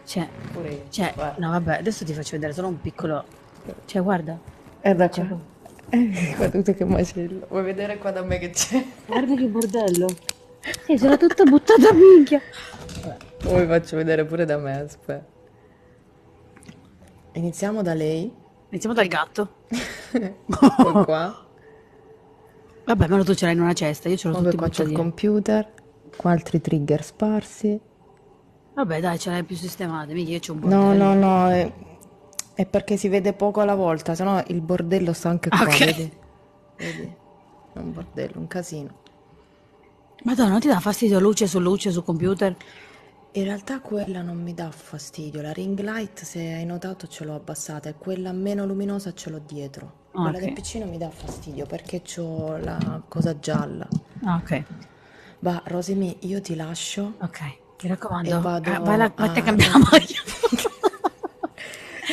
Cioè, Pure io. cioè, guarda. no vabbè, adesso ti faccio vedere solo un piccolo... Cioè, guarda, È eh, da cioè. qua. Ciao. Eh, guarda tu che macello. Vuoi vedere qua da me che c'è? guarda che bordello. Sì, sono tutta buttata a minchia. Poi vi faccio vedere pure da me, aspetta. Iniziamo da lei. Iniziamo dal gatto. Ecco qua. Vabbè, ma tu ce l'hai in una cesta, io ce l'ho tutto Vabbè, qua c'è il buttadini. computer, qua altri trigger sparsi. Vabbè, dai, ce l'hai più sistemata, mica io c'ho un bordello. No, no, no, è, è perché si vede poco alla volta, sennò il bordello sta anche qua, Ok. vedi? Vedi? È un bordello, un casino. Madonna, non ti dà fastidio luce su luce su computer? In realtà quella non mi dà fastidio, la ring light se hai notato ce l'ho abbassata e quella meno luminosa ce l'ho dietro. Ah, quella okay. del piccino mi dà fastidio perché ho la cosa gialla. Ah, ok. Va, Rosimi, io ti lascio. Ok, mi raccomando. E vado ah, vai la, a... te cambiamo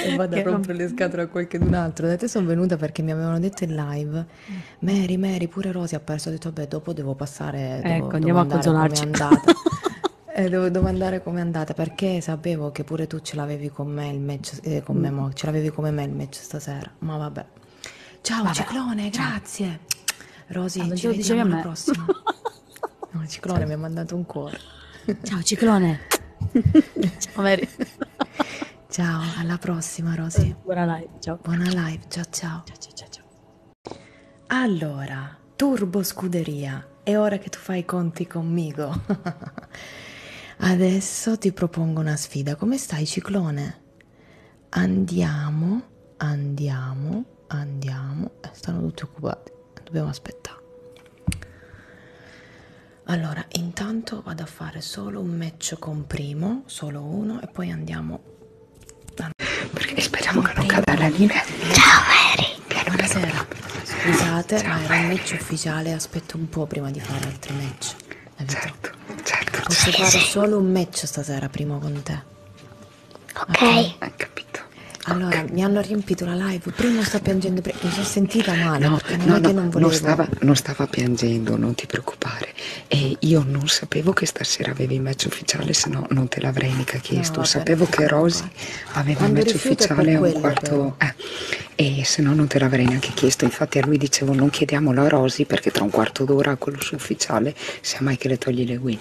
e vado che a rompere non... le scatole a qualcun altro. Da te sono venuta perché mi avevano detto in live, mm. Mary, Mary, pure Rosy ha perso. Ho detto, beh, dopo devo passare. Devo, ecco, andiamo a consolarci. Eh, dove, dove andare com'è andata? Perché sapevo che pure tu ce l'avevi con me il match, eh, con me mo, ce l'avevi come me il match stasera, ma vabbè. Ciao Vabbè. Ciclone, Ciao. grazie. Rosy, Allora, ci glielo dicevi a vediamo alla diciamo me. prossima. No, Ciclone mi ha mandato un cuore. Ciao ciclone. Ciao Mary. Ciao, alla prossima Rosy. Buona live, ciao. Buona live, ciao ciao. Ciao ciao ciao ciao. Allora, Turbo Scuderia, è ora che tu fai i conti conmigo. Adesso ti propongo una sfida. Come stai, ciclone? Andiamo, andiamo, andiamo. Eh, stanno tutti occupati, dobbiamo aspettare. Allora, intanto vado a fare solo un match con primo, solo uno, e poi andiamo. Perché speriamo con che primo. non cada la linea. Ciao Mary! Buonasera, scusate, ma era un match ufficiale, aspetto un po' prima di fare altri match. Certo, certo. Posso certo. fare solo un match stasera prima con te. Ok. okay. Hai capito. Allora, okay. mi hanno riempito la live, prima sta piangendo, mi sono sentita male, no, non no, è che non volevo. Non stava, non stava piangendo, non ti preoccupare. E io non sapevo che stasera avevi match ufficiale, se no non te l'avrei mica chiesto. No, vabbè, sapevo che Rosy aveva Quando un match ufficiale a un quarto, eh, e se no non te l'avrei neanche chiesto. Infatti, a lui dicevo: Non chiediamolo a Rosy perché tra un quarto d'ora a quello suo ufficiale sia mai che le togli le win.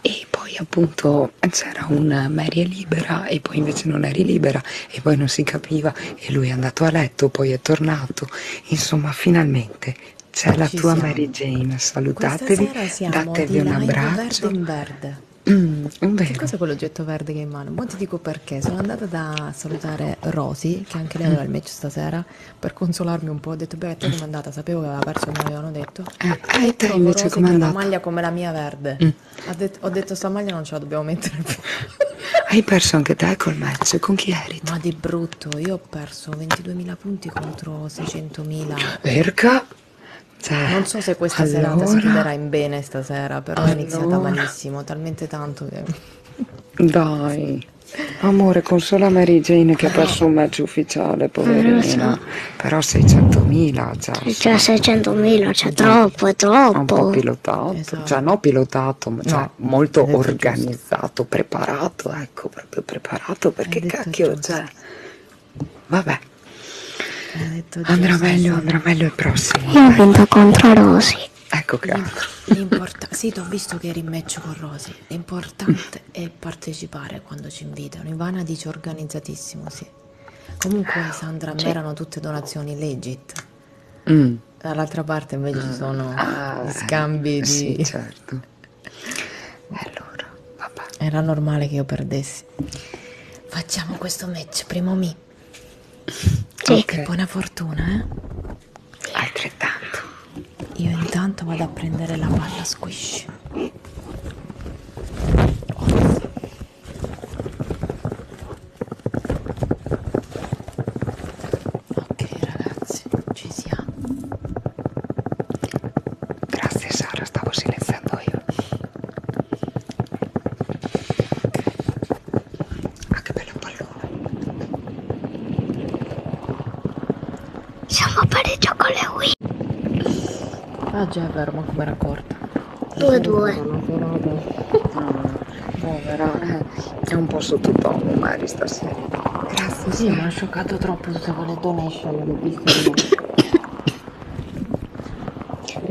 E poi, appunto, c'era un Mary è libera e poi invece non eri libera e poi non si capiva. E lui è andato a letto, poi è tornato. Insomma, finalmente c'è la tua siamo. Mary Jane, salutatevi, datevi un abbraccio. Verde in verde. Mm, che cos'è quell'oggetto verde che hai in mano? Mo ti dico perché. Sono andata da salutare Rosy, che anche lei aveva il match stasera, per consolarmi un po'. Ho detto, beh, te com'è andata? Sapevo che aveva perso, mi avevano detto. Eh, e, eh, e te invece com'è andata? una maglia come la mia verde. Mm. Detto, ho detto, sta maglia non ce la dobbiamo mettere più. hai perso anche te col match? Con chi eri? Ma di brutto, io ho perso 22.000 punti contro 600.000. Perca? Cioè, non so se questa allora... serata si chiuderà in bene stasera, però allora... è iniziata malissimo, talmente tanto che... Dai, amore, consola Mary Jane che ha perso un match ufficiale, poverina. So. Però 600.000 già. Cioè 600.000, cioè troppo, è troppo. Un po' pilotato, esatto. cioè no pilotato, ma cioè, no, molto organizzato, giusto. preparato, ecco, proprio preparato, perché cacchio, giusto. cioè... Vabbè. Andrà meglio, andrà meglio il prossimo. Io ho vinto contro Rosy. Ecco che altro. L'importa- sì, ti ho visto che eri in match con Rosy. L'importante mm. è partecipare quando ci invitano. Ivana dice organizzatissimo, sì. Comunque, ah, Sandra, a me Sì. erano tutte donazioni legit. Mm. Dall'altra parte invece ci sono Ah, ah gli eh, scambi eh, di... Sì, certo. E Allora, vabbè. Era normale che io perdessi ragazzi. Facciamo questo match, primo mi. Jake, okay. buona fortuna, eh? Altrettanto. Io intanto vado a prendere la palla squish. Ok ragazzi, ci siamo. Grazie Sara, stavo silenziando io. Ah, che bello pallone! Siamo pareggio con le Wii. Ah, già è vero, ma com'era corta. 2-2. Ah, povera, eh. è un po' sottotono Mari stasera. Grazie. Sì, mi ha scioccato troppo tutte quelle donation.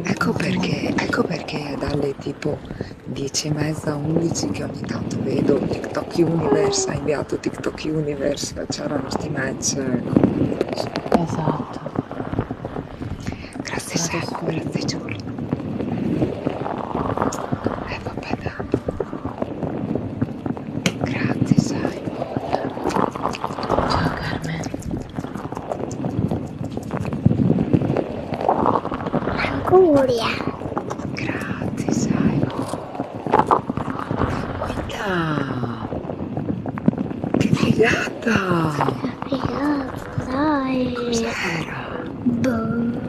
Ecco perché, ecco perché dalle tipo 10 e mezza, 11 che ogni tanto vedo TikTok Universe, ha inviato TikTok Universe, c'erano sti match. Eh, no? Esatto. Grazie Sarà sempre, grazie sì. Giulia. E eh, vabbè dai. Grazie Simon. Ciao Carmen. Anguria. Grazie, sai. Guarda. Che figata. Dai. Cos'era? Boh.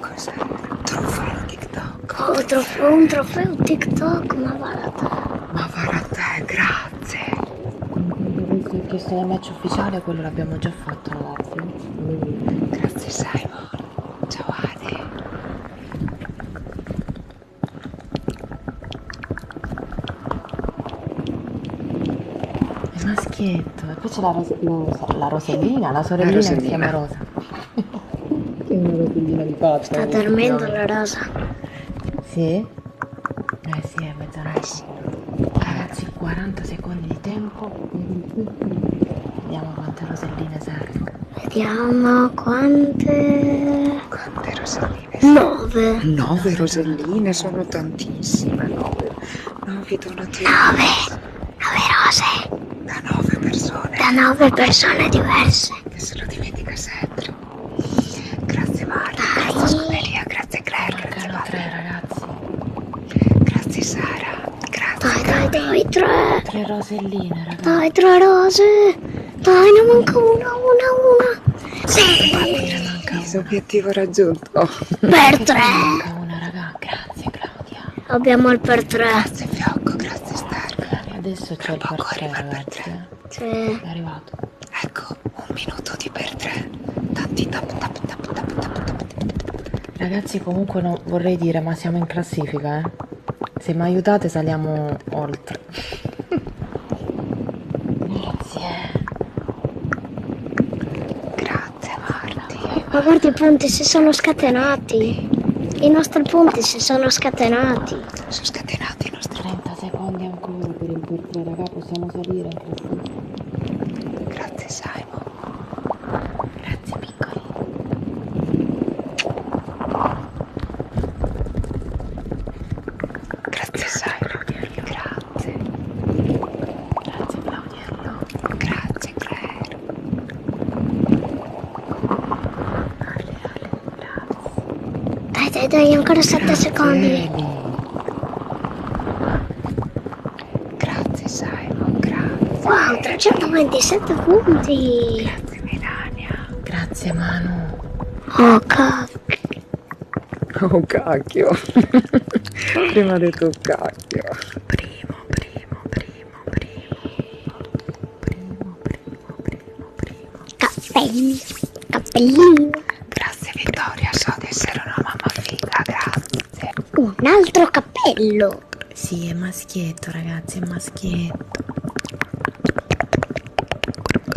Cos'era? Trofeo TikTok. Oh, trofeo, un trofeo TikTok, ma va da te. Ma va da te, grazie grazie. Il chiesto del match ufficiale, quello l'abbiamo già fatto, ragazzi. Grazie Simon. Ciao Ade. È maschietto. E poi c'è la, ros- la, la Rosellina, la sorellina la che si chiama Rosa. che è una Rosellina di fatto. Sta eh. dormendo la Rosa. Sì? Eh sì, è mezzanotte. Ragazzi, 40 secondi di tempo. Vediamo quante roselline servono. Vediamo quante... Quante roselline? Nove. Nove roselline sono tantissime. Nove. Nove donazioni. Nove. Nove rose. Da nove persone. Da nove persone diverse. Che se lo dimentica sempre. Grazie Mario, Dai. grazie Scuderia, grazie Claire, grazie Mario. tre ragazzi. Grazie Sara, grazie. Dai, dai, dai, tre. Tre roselline, ragazzi. Dai, tre rose. Dai, ne manca una, una, una. Sì. Partire, manca una. Obiettivo raggiunto. Oh. Per tre. Manca una, raga. Grazie Claudia. Abbiamo il per tre. Grazie Fiocco, grazie Star. Adesso c'è il per tre, ragazzi. Per tre. Eh. Sì. È arrivato. Ecco un minuto di per tre. Tanti tap tap tap tap tap tap. Ragazzi, comunque no, vorrei dire, ma siamo in classifica, eh. Se mi aiutate saliamo oltre. Grazie. Grazie Marti. Ma guarda i punti si sono scatenati. I nostri punti si sono scatenati. Sono scatenati i nostri 30 secondi ancora per il portiere, raga, possiamo salire così. Grazie Simon. Grazie piccoli. Grazie Simon. Grazie. Grazie Claudiello. Grazie Claire. Ale, ale. Dai, dai, dai, ancora 7 secondi. Grazie Simon, grazie. Wow, 327 punti. Grazie Melania. Grazie Manu. Oh cacchio. Oh cacchio. Prima ho detto cacchio. Primo, primo, primo, primo. Primo, primo, primo prima. Cappellino, cappellino. Grazie Vittoria, so di essere una mamma figa, grazie. Un altro cappello. Sì, è maschietto ragazzi, è maschietto.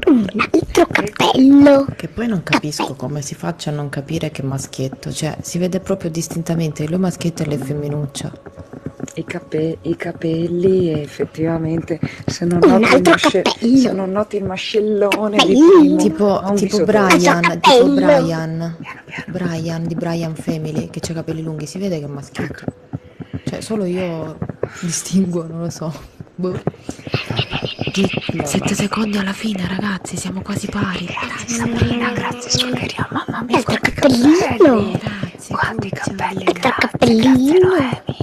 Un altro cappello. Che poi non capisco Cappello. come si faccia a non capire che è maschietto, cioè si vede proprio distintamente lui maschietto e lei femminuccia. I, cape- I capelli effettivamente se non un oh, noti altro masce- cappello. Se non noti il mascellone primo, tipo, tipo Brian, tipo Brian, piano, piano. Brian di Brian Family che ha capelli lunghi, si vede che è maschietto. Ecco. Cioè, solo io distingo, non lo so. Boh. Di 7 secondi alla fine, ragazzi, siamo quasi pari. Grazie Sabrina, grazie Scuderia, mamma mia, quanti cappellino. cappelli. Grazie, Quanti cappelli, grazie, grazie Noemi.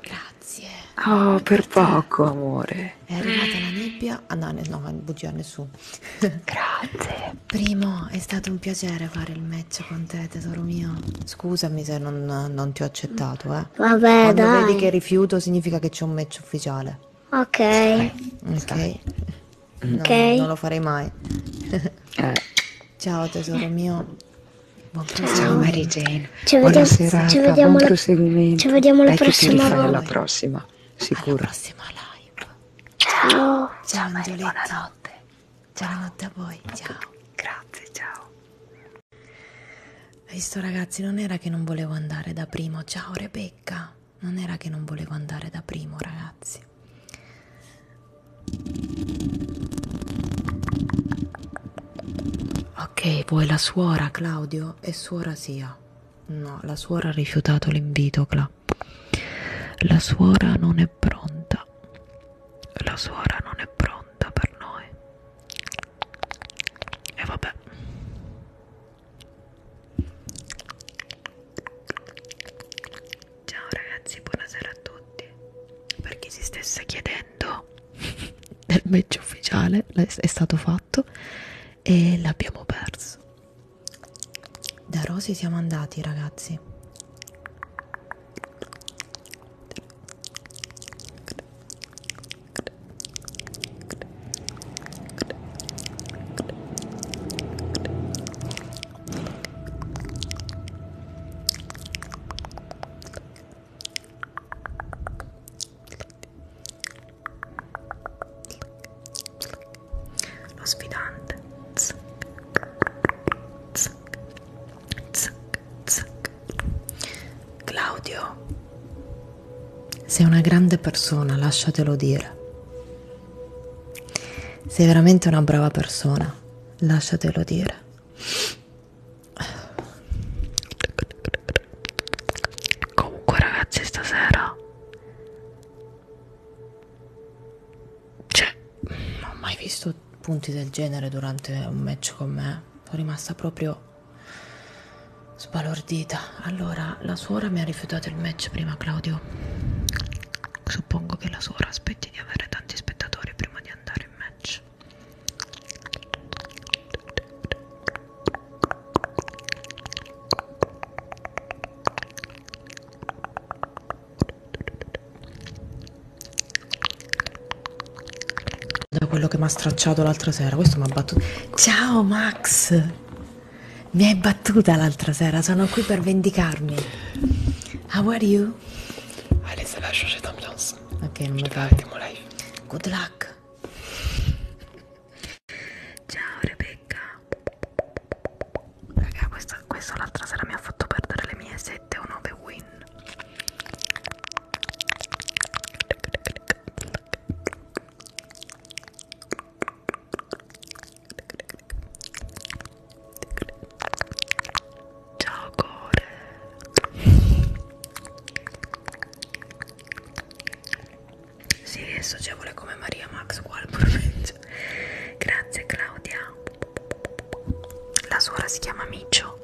Grazie. Oh, per poco, amore. È arrivata la nebbia. Ah no, no, bugia nessuno. Grazie. Primo, è stato un piacere fare il match con te, tesoro mio. Scusami se non, non ti ho accettato, eh. Vabbè, Quando dai. vedi che rifiuto significa che c'è un match ufficiale. Ok. Ok. Ok. No, non lo farei mai. eh. Ciao tesoro eh. mio. Buon Ciao Mary Jane. Ci vediamo, serata, ci vediamo la, ci vediamo la prossima live. Alla prossima, sicuro. Alla prossima live. Ciao. Ciao, ciao buonanotte. Ciao buonanotte a voi. Ciao. Grazie, ciao. Hai visto ragazzi, non era che non volevo andare da primo. Ciao Rebecca. Non era che non volevo andare da primo, ragazzi. Ok, vuoi la suora Claudio? E suora sia. No, la suora ha rifiutato l'invito, Cla. La suora non è pronta. La suora non è pronta per noi. E vabbè. Ciao ragazzi, buonasera a tutti. Per chi si stesse chiedendo commento del match ufficiale è stato fatto e l'abbiamo perso da Rosy siamo andati ragazzi lo sfidante Claudio sei una grande persona lasciatelo dire sei veramente una brava persona lasciatelo dire comunque ragazzi stasera cioè non ho mai visto punti del genere durante un match con me sono rimasta proprio sbalordita allora la suora mi ha rifiutato il match prima Claudio suppongo che la suora aspetti di avere tanti spettatori prima di andare in match da quello che mi ha stracciato l'altra sera questo mi ha battuto ciao Max mi hai battuta l'altra sera sono qui per vendicarmi how are you Allez, ça va changer d'ambiance. Ok, on va arrêter mon live. Good luck. Ciao Rebecca. Raga, questa, questa l'altra sera mi ha fatto perdere le mie 7 o 9 win. Ciao Core. Sì, è socievole come Maria Max uguale provincia. Grazie Claudia. La suora si chiama Micio.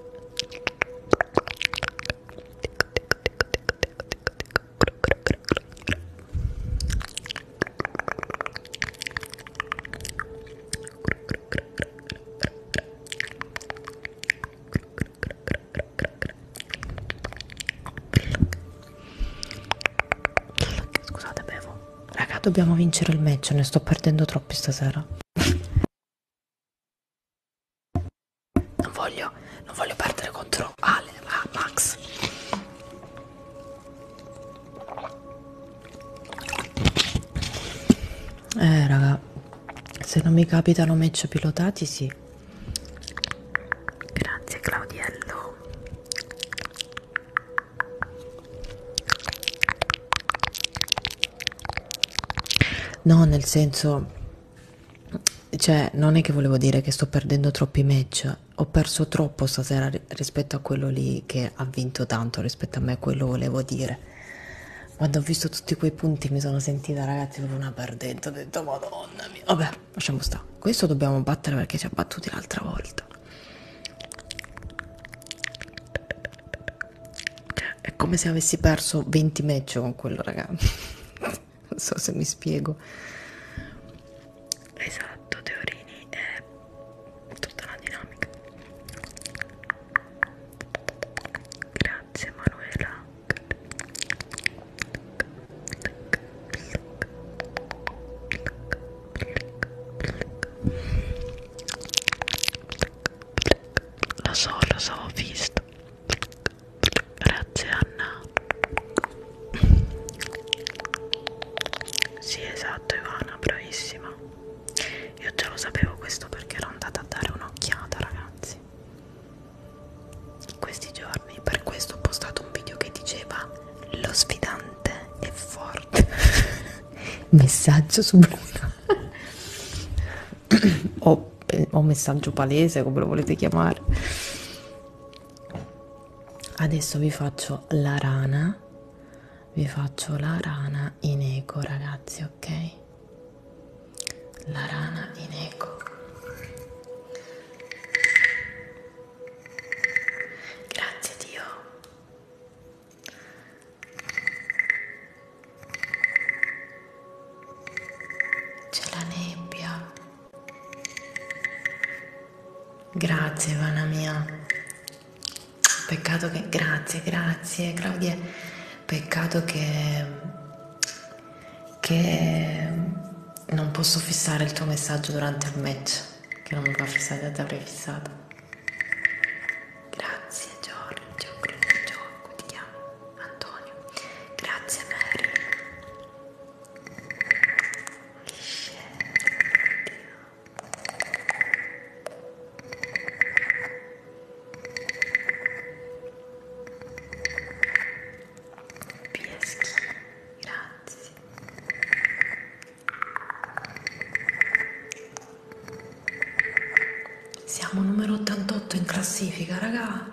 Scusate, bevo. Raga, dobbiamo vincere il match, ne sto perdendo troppi stasera. Non voglio, non voglio perdere contro Ale, ah, Max. Eh, raga, se non mi capitano match pilotati sì grazie Claudiello no nel senso cioè non è che volevo dire che sto perdendo troppi match ho perso troppo stasera rispetto a quello lì che ha vinto tanto rispetto a me quello volevo dire quando ho visto tutti quei punti mi sono sentita ragazzi come una perdente, ho detto madonna mia. Vabbè, lasciamo stare. Questo dobbiamo battere perché ci ha battuti l'altra volta. Cioè, è come se avessi perso 20 match con quello, raga. non so se mi spiego. Esatto, Teorini è tutta la dinamica. Grazie grazie Manuela lo so, lo so, ho visto grazie Anna sì esatto Ivana, bravissima io già lo sapevo questo perché ero andata a dare un'occhiata ragazzi anzi in questi giorni per questo ho postato un video che diceva lo sfidante è forte messaggio subliminale o, o messaggio palese come lo volete chiamare adesso vi faccio la rana vi faccio la rana in eco ragazzi ok la rana in eco grazie Dio c'è la nebbia grazie Vana mia peccato che grazie grazie Claudia Peccato che, che non posso fissare il tuo messaggio durante il match, che non mi va fissata, ti avrei fissata. Grazie Giorgio, Giorgio, come ti chiami? Antonio. Grazie Mary. Scelta. Pieschi, grazie. Siamo numero 88 in classifica, raga.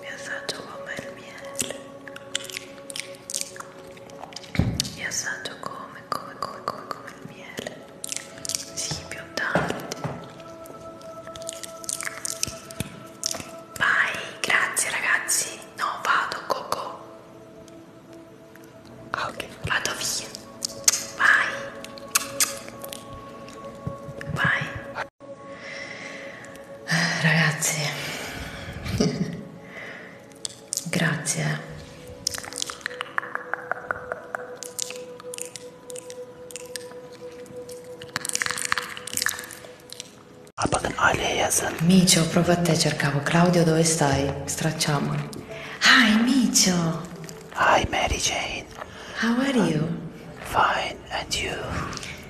mi assaggio come il miele mi assaggio come, come, come, come, come il miele sì, più tardi vai, grazie ragazzi no, vado, coco Ah, ok. Vado via. Vai. Vai. Eh, ragazzi, grazie. Micio, proprio a te cercavo. Claudio, dove stai? Dai, stracciamolo. Hi, Micio. Hi, Mary Jane. How are I'm you? Fine, and you?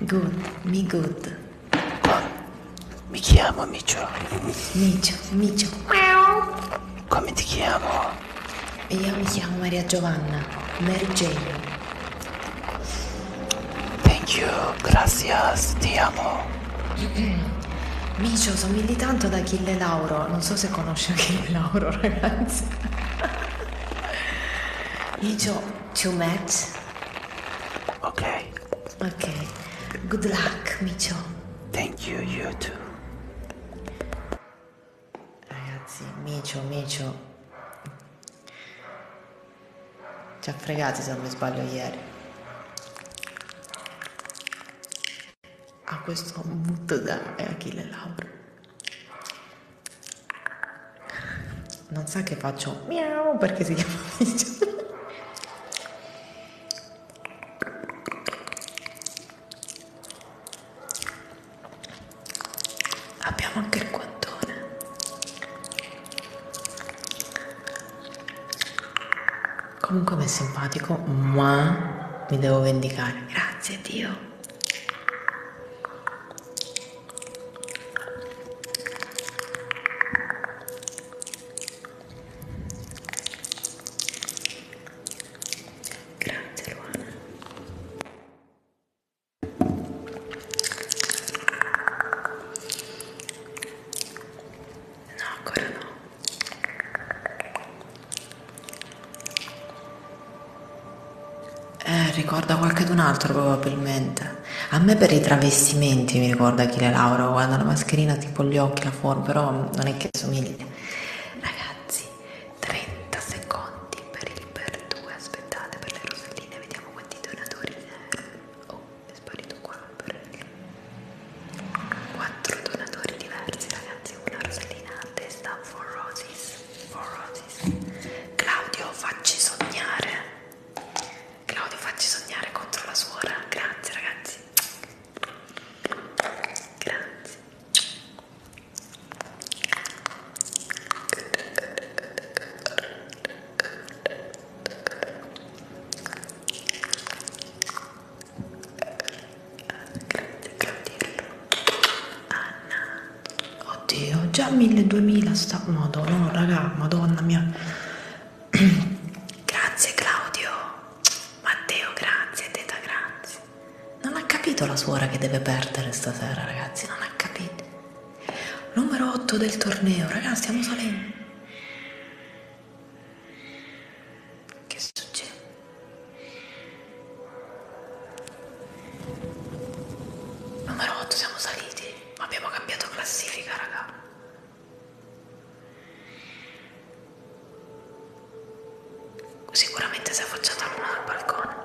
Good, me good. Mi chiamo Micio. Micio, Micio. Come ti chiamo? Io mi chiamo Maria Giovanna, Mary Jane. Thank you gracias, ti amo. Micio, somigli tanto ad Achille Lauro. Non so se conosci Achille Lauro, ragazzi. Micio, to match. Ok. Ok. Good luck, Micio. Thank you, you too. Ragazzi, Micio, Micio. Ci ha fregati se non mi sbaglio ieri ha questo mood da Achille Lauro non sa che faccio miau perché si chiama Micio abbiamo anche il guantone Comunque mi è simpatico, ma mi devo vendicare. Grazie Dio. Grazie Luana. No, ancora no. Eh, ricorda qualcun altro probabilmente. A me per i travestimenti mi ricorda Achille Lauro, quando la mascherina tipo gli occhi, la forma, però non è che somigli. Ragazzi, 30 secondi per il per due, aspettate per le roselline, vediamo quanti donatori. Oh è sparito qua per 4 donatori diversi ragazzi una rosellina a testa for roses, for roses Claudio facci sognare Claudio facci sognare contro la suora grazie ragazzi grazie Grazie, Claudiello. Anna. Oddio, già 1000-2000 sta... Madonna, no, raga, madonna mia. grazie, Claudio. Matteo, grazie. Teta, grazie. Non ha capito la suora che deve perdere stasera, ragazzi. Non ha capito. Numero 8 del torneo, ragazzi, stiamo salendo. Che succede? Numero 8 siamo saliti, ma abbiamo cambiato classifica, raga. Sicuramente si è affacciata l'una dal balcone.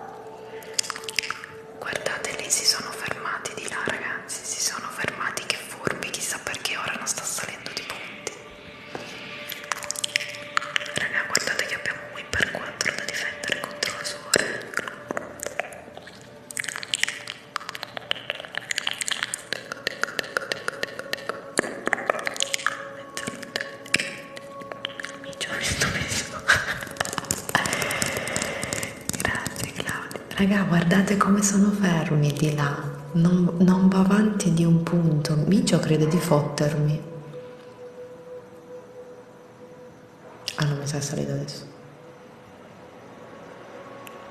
Guardate, lì si sono fermati di là, ragazzi. Si sono fermati che furbi, chissà perché ora non sta salendo di punti. Raga, guardate che abbiamo un win per 4 da difendere contro la suore. Mi ci ho visto messo. Grazie Claudia. Raga, guardate come sono fermi di là non, non va avanti di un punto, Micio crede di fottermi. Ah non mi sa salito adesso.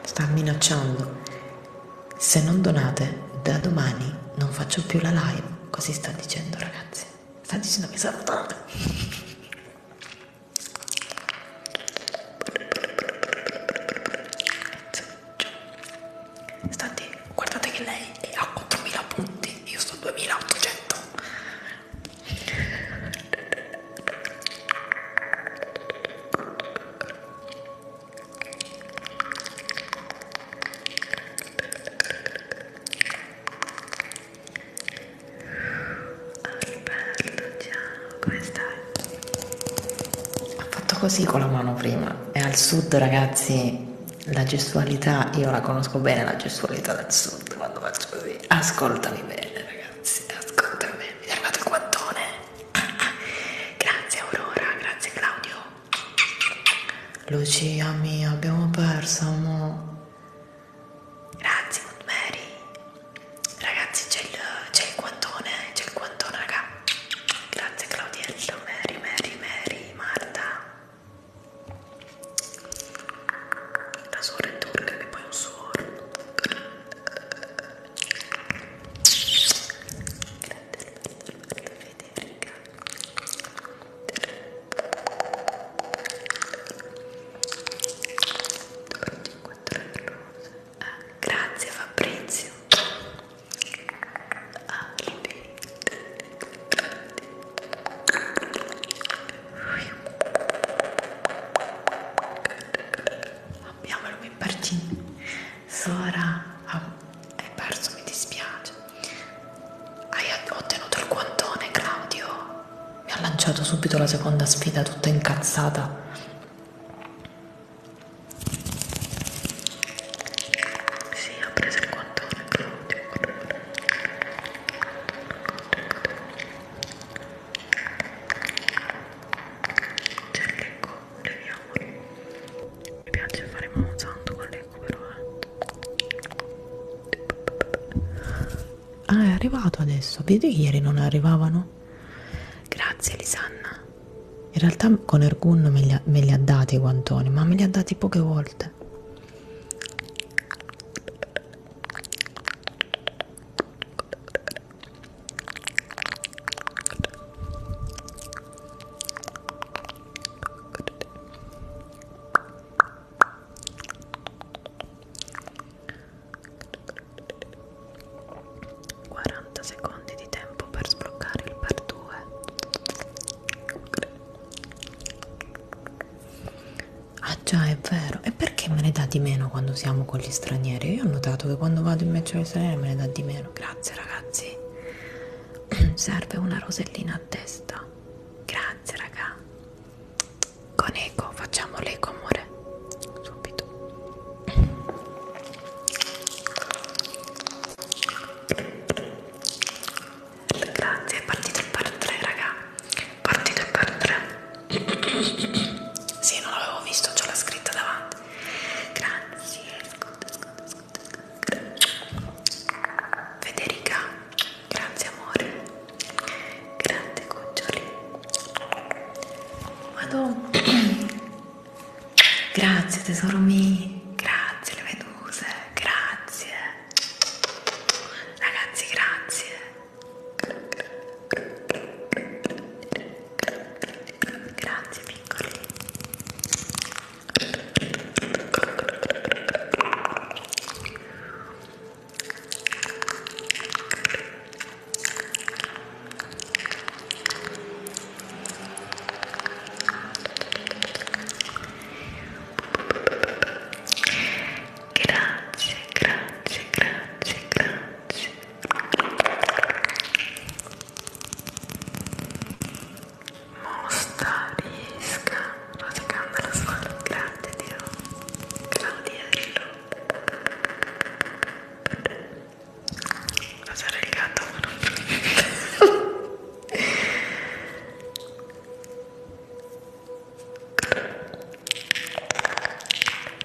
Sta minacciando. Se non donate, da domani non faccio più la live. Così sta dicendo ragazzi. Sta dicendo che salutate. State, guardate che lei è a 4000 punti, io sto a 2800. Alberto, ciao, come stai? ha fatto così con la mano prima e al sud ragazzi la gestualità io la conosco bene la gestualità del sud quando faccio così ascoltami bene ragazzi ascoltami bene mi è arrivato il guantone ah, ah. grazie Aurora grazie Claudio Lucia mia abbiamo perso amore Grazie Mary. Ragazzi c'è il, il guantone, c'è il guantone raga. Grazie Claudiello, Mary, Mary, Mary, Marta. La suora è turca che poi è un suoro. Federica. Quattro rose. Ah, grazie Fabrizio. Ah, Abbiamo il Mimparcini. Sora, ah, hai perso, mi dispiace. Hai ottenuto il guantone, Claudio. Mi ha lanciato subito la seconda sfida, tutta incazzata. Sì, ho preso il guantone, Claudio. C'è il lecco, leviamolo. Mi piace fare mamosanto con l'ecco però, eh. Ah, è arrivato adesso. Vedi che ieri non arrivavano? Grazie, Lisanna. In realtà con Ergun me li, ha, me li ha dati i guantoni, ma me li ha dati poche volte. 40 secondi di tempo per sbloccare il par 2 ah già è vero e perché me ne dà di meno quando siamo con gli stranieri io ho notato che quando vado in mezzo agli stranieri me ne dà di meno grazie ragazzi serve una rosellina a testa grazie raga con eco facciamo l'eco amore subito Grazie, è partito il par 3, raga. Partito il par 3. Sì, non l'avevo visto, c'ho la scritta davanti. Grazie. Ascolta, ascolta, ascolta, ascolta. Federica, grazie amore. Grazie cuccioli. Madonna. Grazie tesoro mio, grazie le meduse, grazie. Ragazzi, grazie. Grazie piccoli. Grazie, grazie, grazie, grazie. Mosta riesca radicando la scuola. Grazie Dio. Claudiello. Passare il gatto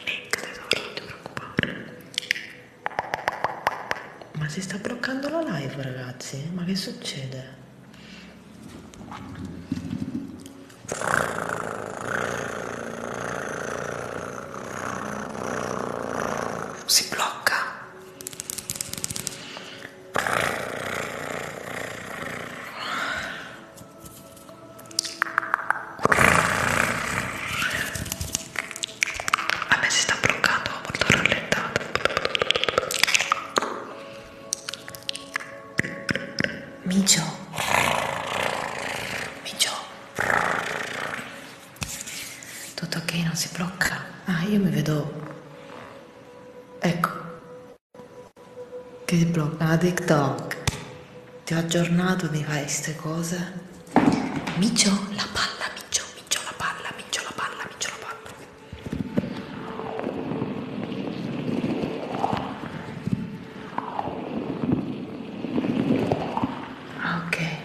Nick, tesoro, non ti preoccupare Ma si sta bloccando la live, ragazzi? Ma che succede? Si blocca a me si sta bloccando molto rallentato Micio Micio tutto ok, non si blocca. Ah, io mi vedo... Ecco. Che si blocca? Ah, TikTok. Ti ho aggiornato, mi fai queste cose. Micio la palla, micio, micio la palla, micio la palla, micio la palla. Ah, ok.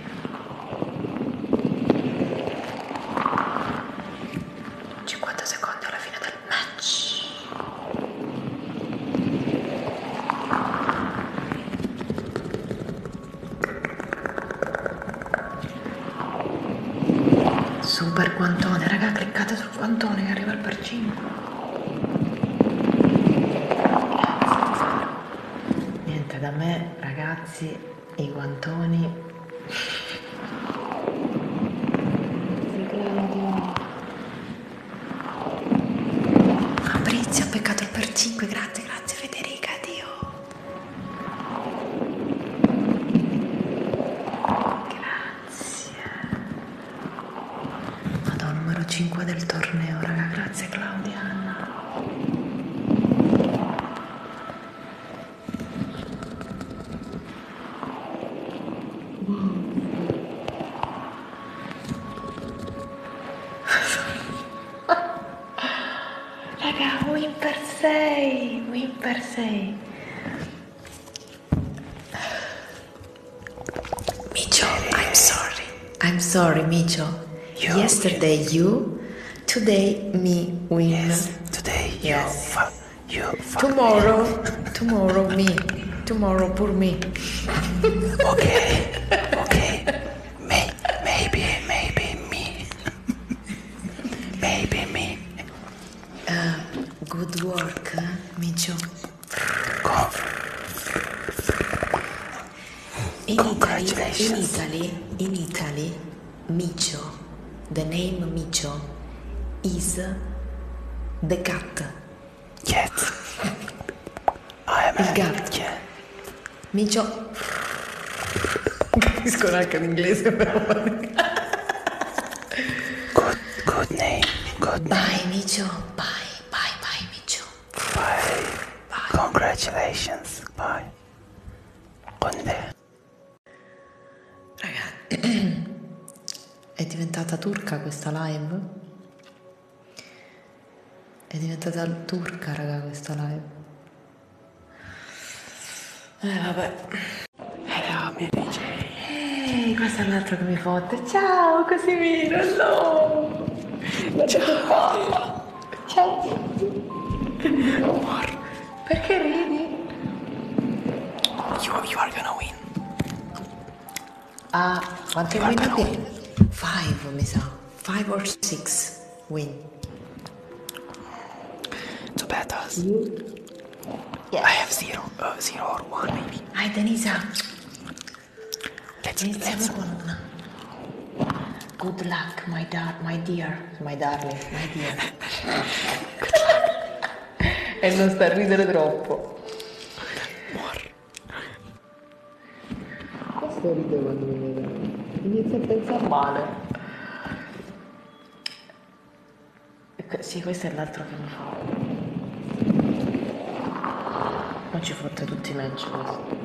50 secondi alla fine del match. Super guantone, raga, cliccate sul guantone che arriva al per 5. Niente da me, ragazzi i guantoni Fabrizio ha peccato per 5 grazie grazie Federica Dio grazie vado al numero 5 del torneo raga grazie Claudia Anna Raga, win per 6, win per 6. Micho, I'm sorry. I'm sorry, Micho. You, Yesterday you, Today me wins. Yes. Today you yes. Tomorrow me. tomorrow me. Tomorrow poor me. okay. Okay. maybe maybe me. maybe me. Um, good work, huh, Micho. In in Italy, in Italy, Micho, the name Micho, is the cat. Yes. I am Il gatto. Cat. Micho. Non capisco neanche l'inglese, però. good, good name. Good name. Bye, Micho. Bye, bye, bye, Micho. Bye. bye. Congratulations. Bye. Conde. Raga, è diventata turca questa live? È diventata turca, raga, questa live. Eh, vabbè. Hello, mi amici. Ehi, hey, questo è l'altro che mi fotte. Ciao, Casimiro, no! Ciao. Oh, You, are gonna win. Ah, quanti you are going Five, mi Five or six win. So bad us. I have zero, uh, zero or one maybe. Hai Denisa. Let's, Denisa, let Good luck, my, da- my dear. My darling, my dear. e non sta a ridere troppo. Questo ride quando mi vede. Inizia a pensare male. Ecco, sì, questo è l'altro che mi fa. Ma ci fotte tutti i match questo.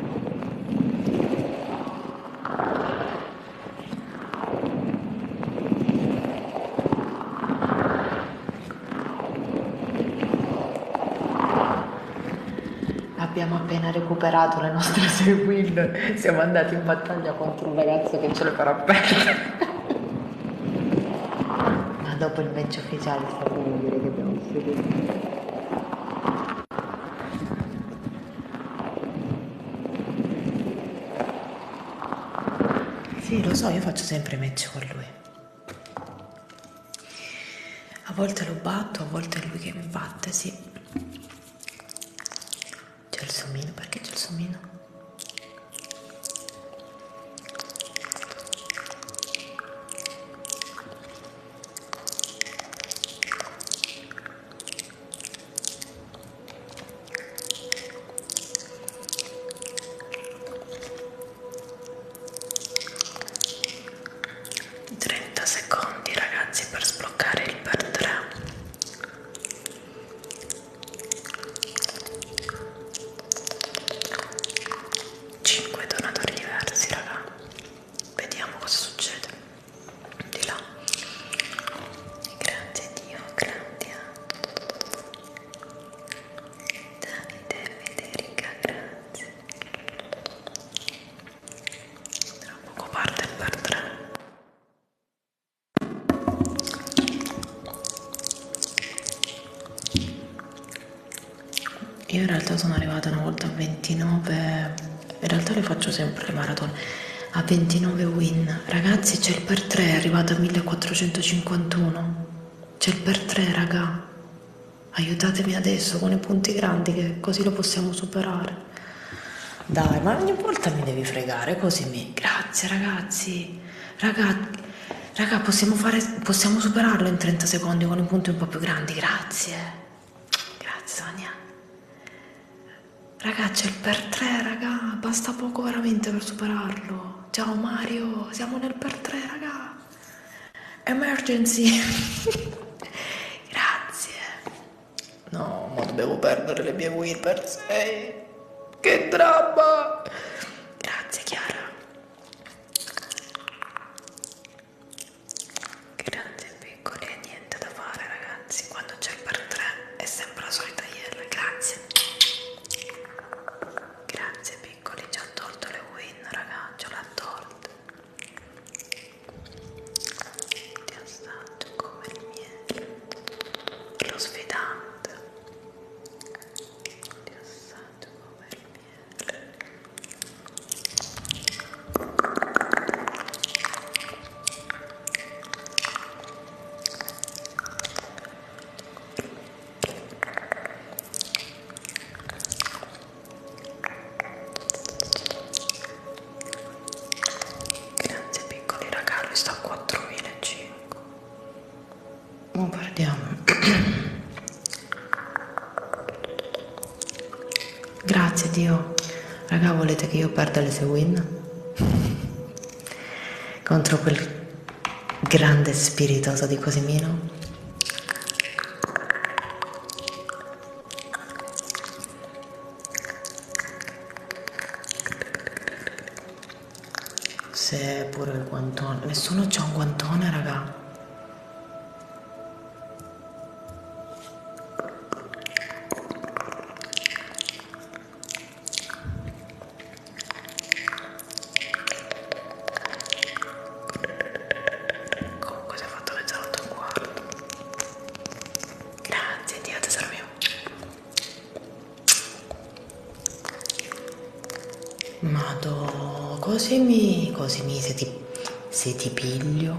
Abbiamo appena recuperato le nostre seguin, siamo andati in battaglia contro un ragazzo che ce le farà perdere. Ma dopo il match ufficiale sappiamo dire che abbiamo seguito. Sì, lo so, io faccio sempre match con lui. A volte lo batto, a volte è lui che mi batte, sì. C'è il somino, perché c'è il somino? 30 secondi ragazzi per sbloccare il per 3 5 donatori diversi raga vediamo cosa succede di là grazie Dio, Claudia Davide Federica, grazie tra poco parte il per 3 io in realtà sono arrivata una volta a 29 in realtà le faccio sempre le maratone, a 29 win. Ragazzi c'è il per 3, è arrivato a 1451. C'è il per 3, raga. Aiutatemi adesso con i punti grandi che così lo possiamo superare. Dai, ma ogni volta mi devi fregare così mi... Grazie ragazzi. Ragazzi... Raga, possiamo, fare, possiamo superarlo in 30 secondi con i punti un po' più grandi, grazie. Grazie Sonia. Ragazzi, il per 3, raga, basta poco veramente per superarlo. Ciao Mario, siamo nel per 3, raga. Emergency. Grazie. No, ma dovevo perdere le mie win per 6. Che dramma. Grazie Chiara. Grazie, piccoli e niente da fare ragazzi quando c'è il per 3 è sempre la solita ieri grazie grazie piccoli ci ha tolto le win ragazzi l'ha tolto ti assaggio come il miele lo sfidante ti assaggio come il miele Grazie piccoli raga, lui sta a 4.500. Ma guardiamo. Grazie Dio. Raga, volete che io perda le sue win? Contro quel grande spiritoso di Cosimino? Se pure il guantone. Nessuno c'ha un guantone, raga. Comunque si è fatto le 08 e un quarto. Grazie, Dio tesoro mio. Mado, così mi, così mi se ti, se ti piglio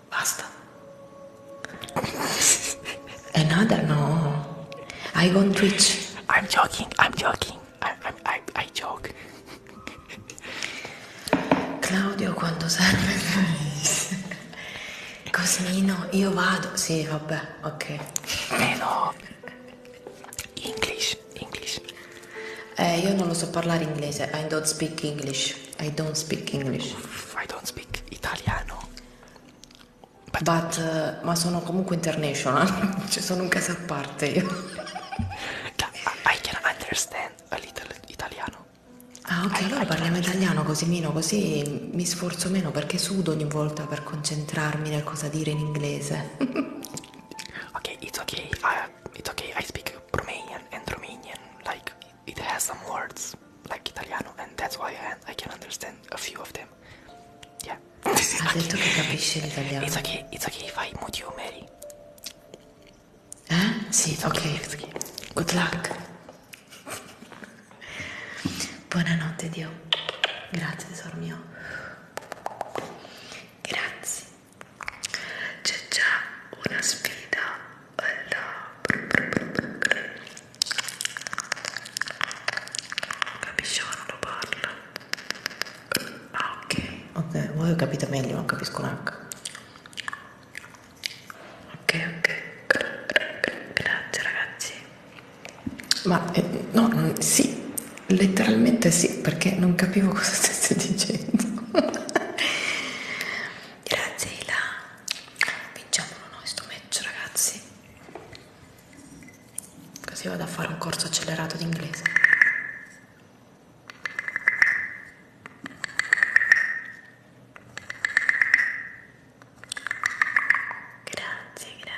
Basta. Another? No. I won't reach. I'm joking, I'm joking. I, I, I, I joke. Claudio, quando serve il Cosmino, io vado. Sì, vabbè, ok. Eh no. English, English. Eh, io non lo so parlare inglese. I don't speak English. I don't speak English. I don't speak italiano. But, But uh, ma sono comunque international, cioè sono un caso a parte io. I can understand a little italiano. Ah ok, I, allora I parliamo italiano così meno, così mi sforzo meno perché sudo ogni volta per concentrarmi nel cosa dire in inglese. ok, it's okay, uh, it's okay, I speak Romanian and Romanian, like it has some words like Italiano, and that's why I, can understand a few of them. Yeah. Ha detto che capisce l'italiano. It's okay, it's okay if I mood you, Mary. Eh? Sì, it's okay. okay. Good luck. Buonanotte, Dio. Grazie, tesoro mio. Grazie. C'è già una sfida Capisci quando parla? Ah, ok. Ok, voi ho capito meglio, non capisco l'H. Ok, ok. Grazie ragazzi. Ma eh, no, mm, sì, letteralmente sì, perché non capivo cosa stesse dicendo. Grazie Ila. Vinciamolo noi sto match ragazzi. Così vado a fare un corso accelerato di inglese. Grazie, grazie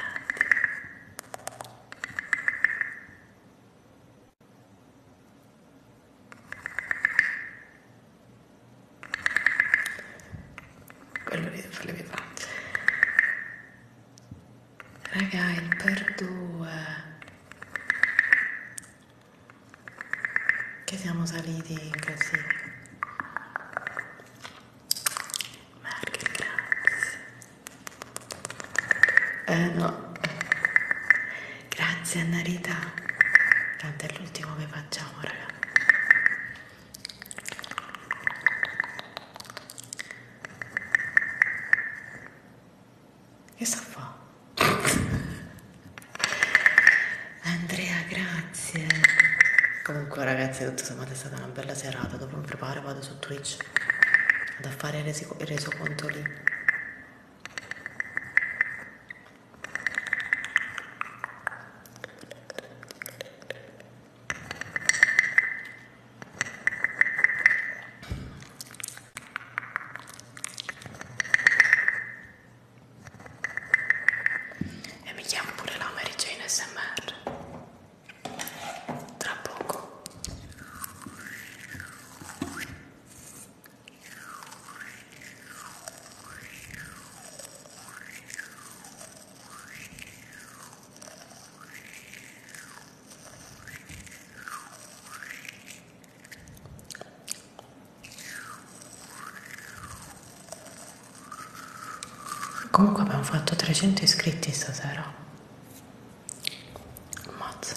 quello deve farle vibrare raga il per due che siamo saliti in casino ma che grazie eh no Grazie Annarita, tanto è l'ultimo che facciamo raga. Che sta fa? Andrea, grazie. Comunque ragazzi, tutto sommato è stata una bella serata, dopo mi preparo vado su Twitch vado a fare il, reso, il resoconto lì e mi chiamo pure la Mary Jane SMR tra poco. Comunque abbiamo fatto 300 iscritti stasera. Ammazza.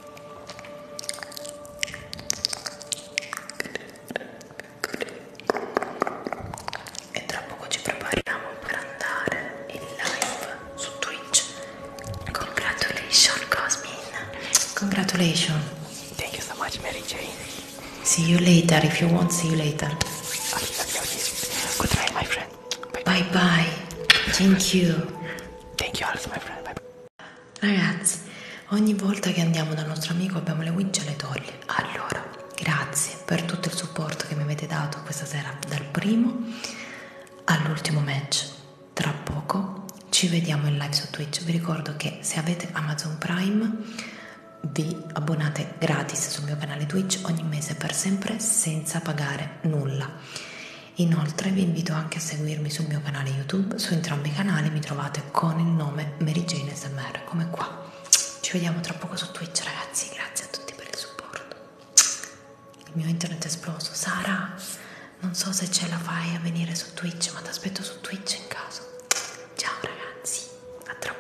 E tra poco ci prepariamo per andare in live su Twitch. Congratulations, Cosmin. Congratulations. Thank you so much, Mary Jane. See you later if you want. See you later. Goodbye, my friend. Bye bye. bye. Thank you. Thank you also, my friend. Bye Ragazzi, ogni volta che andiamo dal nostro amico abbiamo le winch e le toglie. Allora, grazie per tutto il supporto che mi avete dato questa sera, dal primo all'ultimo match. Tra poco ci vediamo in live su Twitch. Vi ricordo che se avete Amazon Prime vi abbonate gratis sul mio canale Twitch ogni mese per sempre senza pagare nulla Inoltre vi invito anche a seguirmi sul mio canale YouTube, su entrambi i canali mi trovate con il nome Mary Jane SMR, come qua. Ci vediamo tra poco su Twitch ragazzi, grazie a tutti per il supporto. Il mio internet è esploso. Sara, non so se ce la fai a venire su Twitch, ma ti aspetto su Twitch in caso. Ciao ragazzi, a tra poco.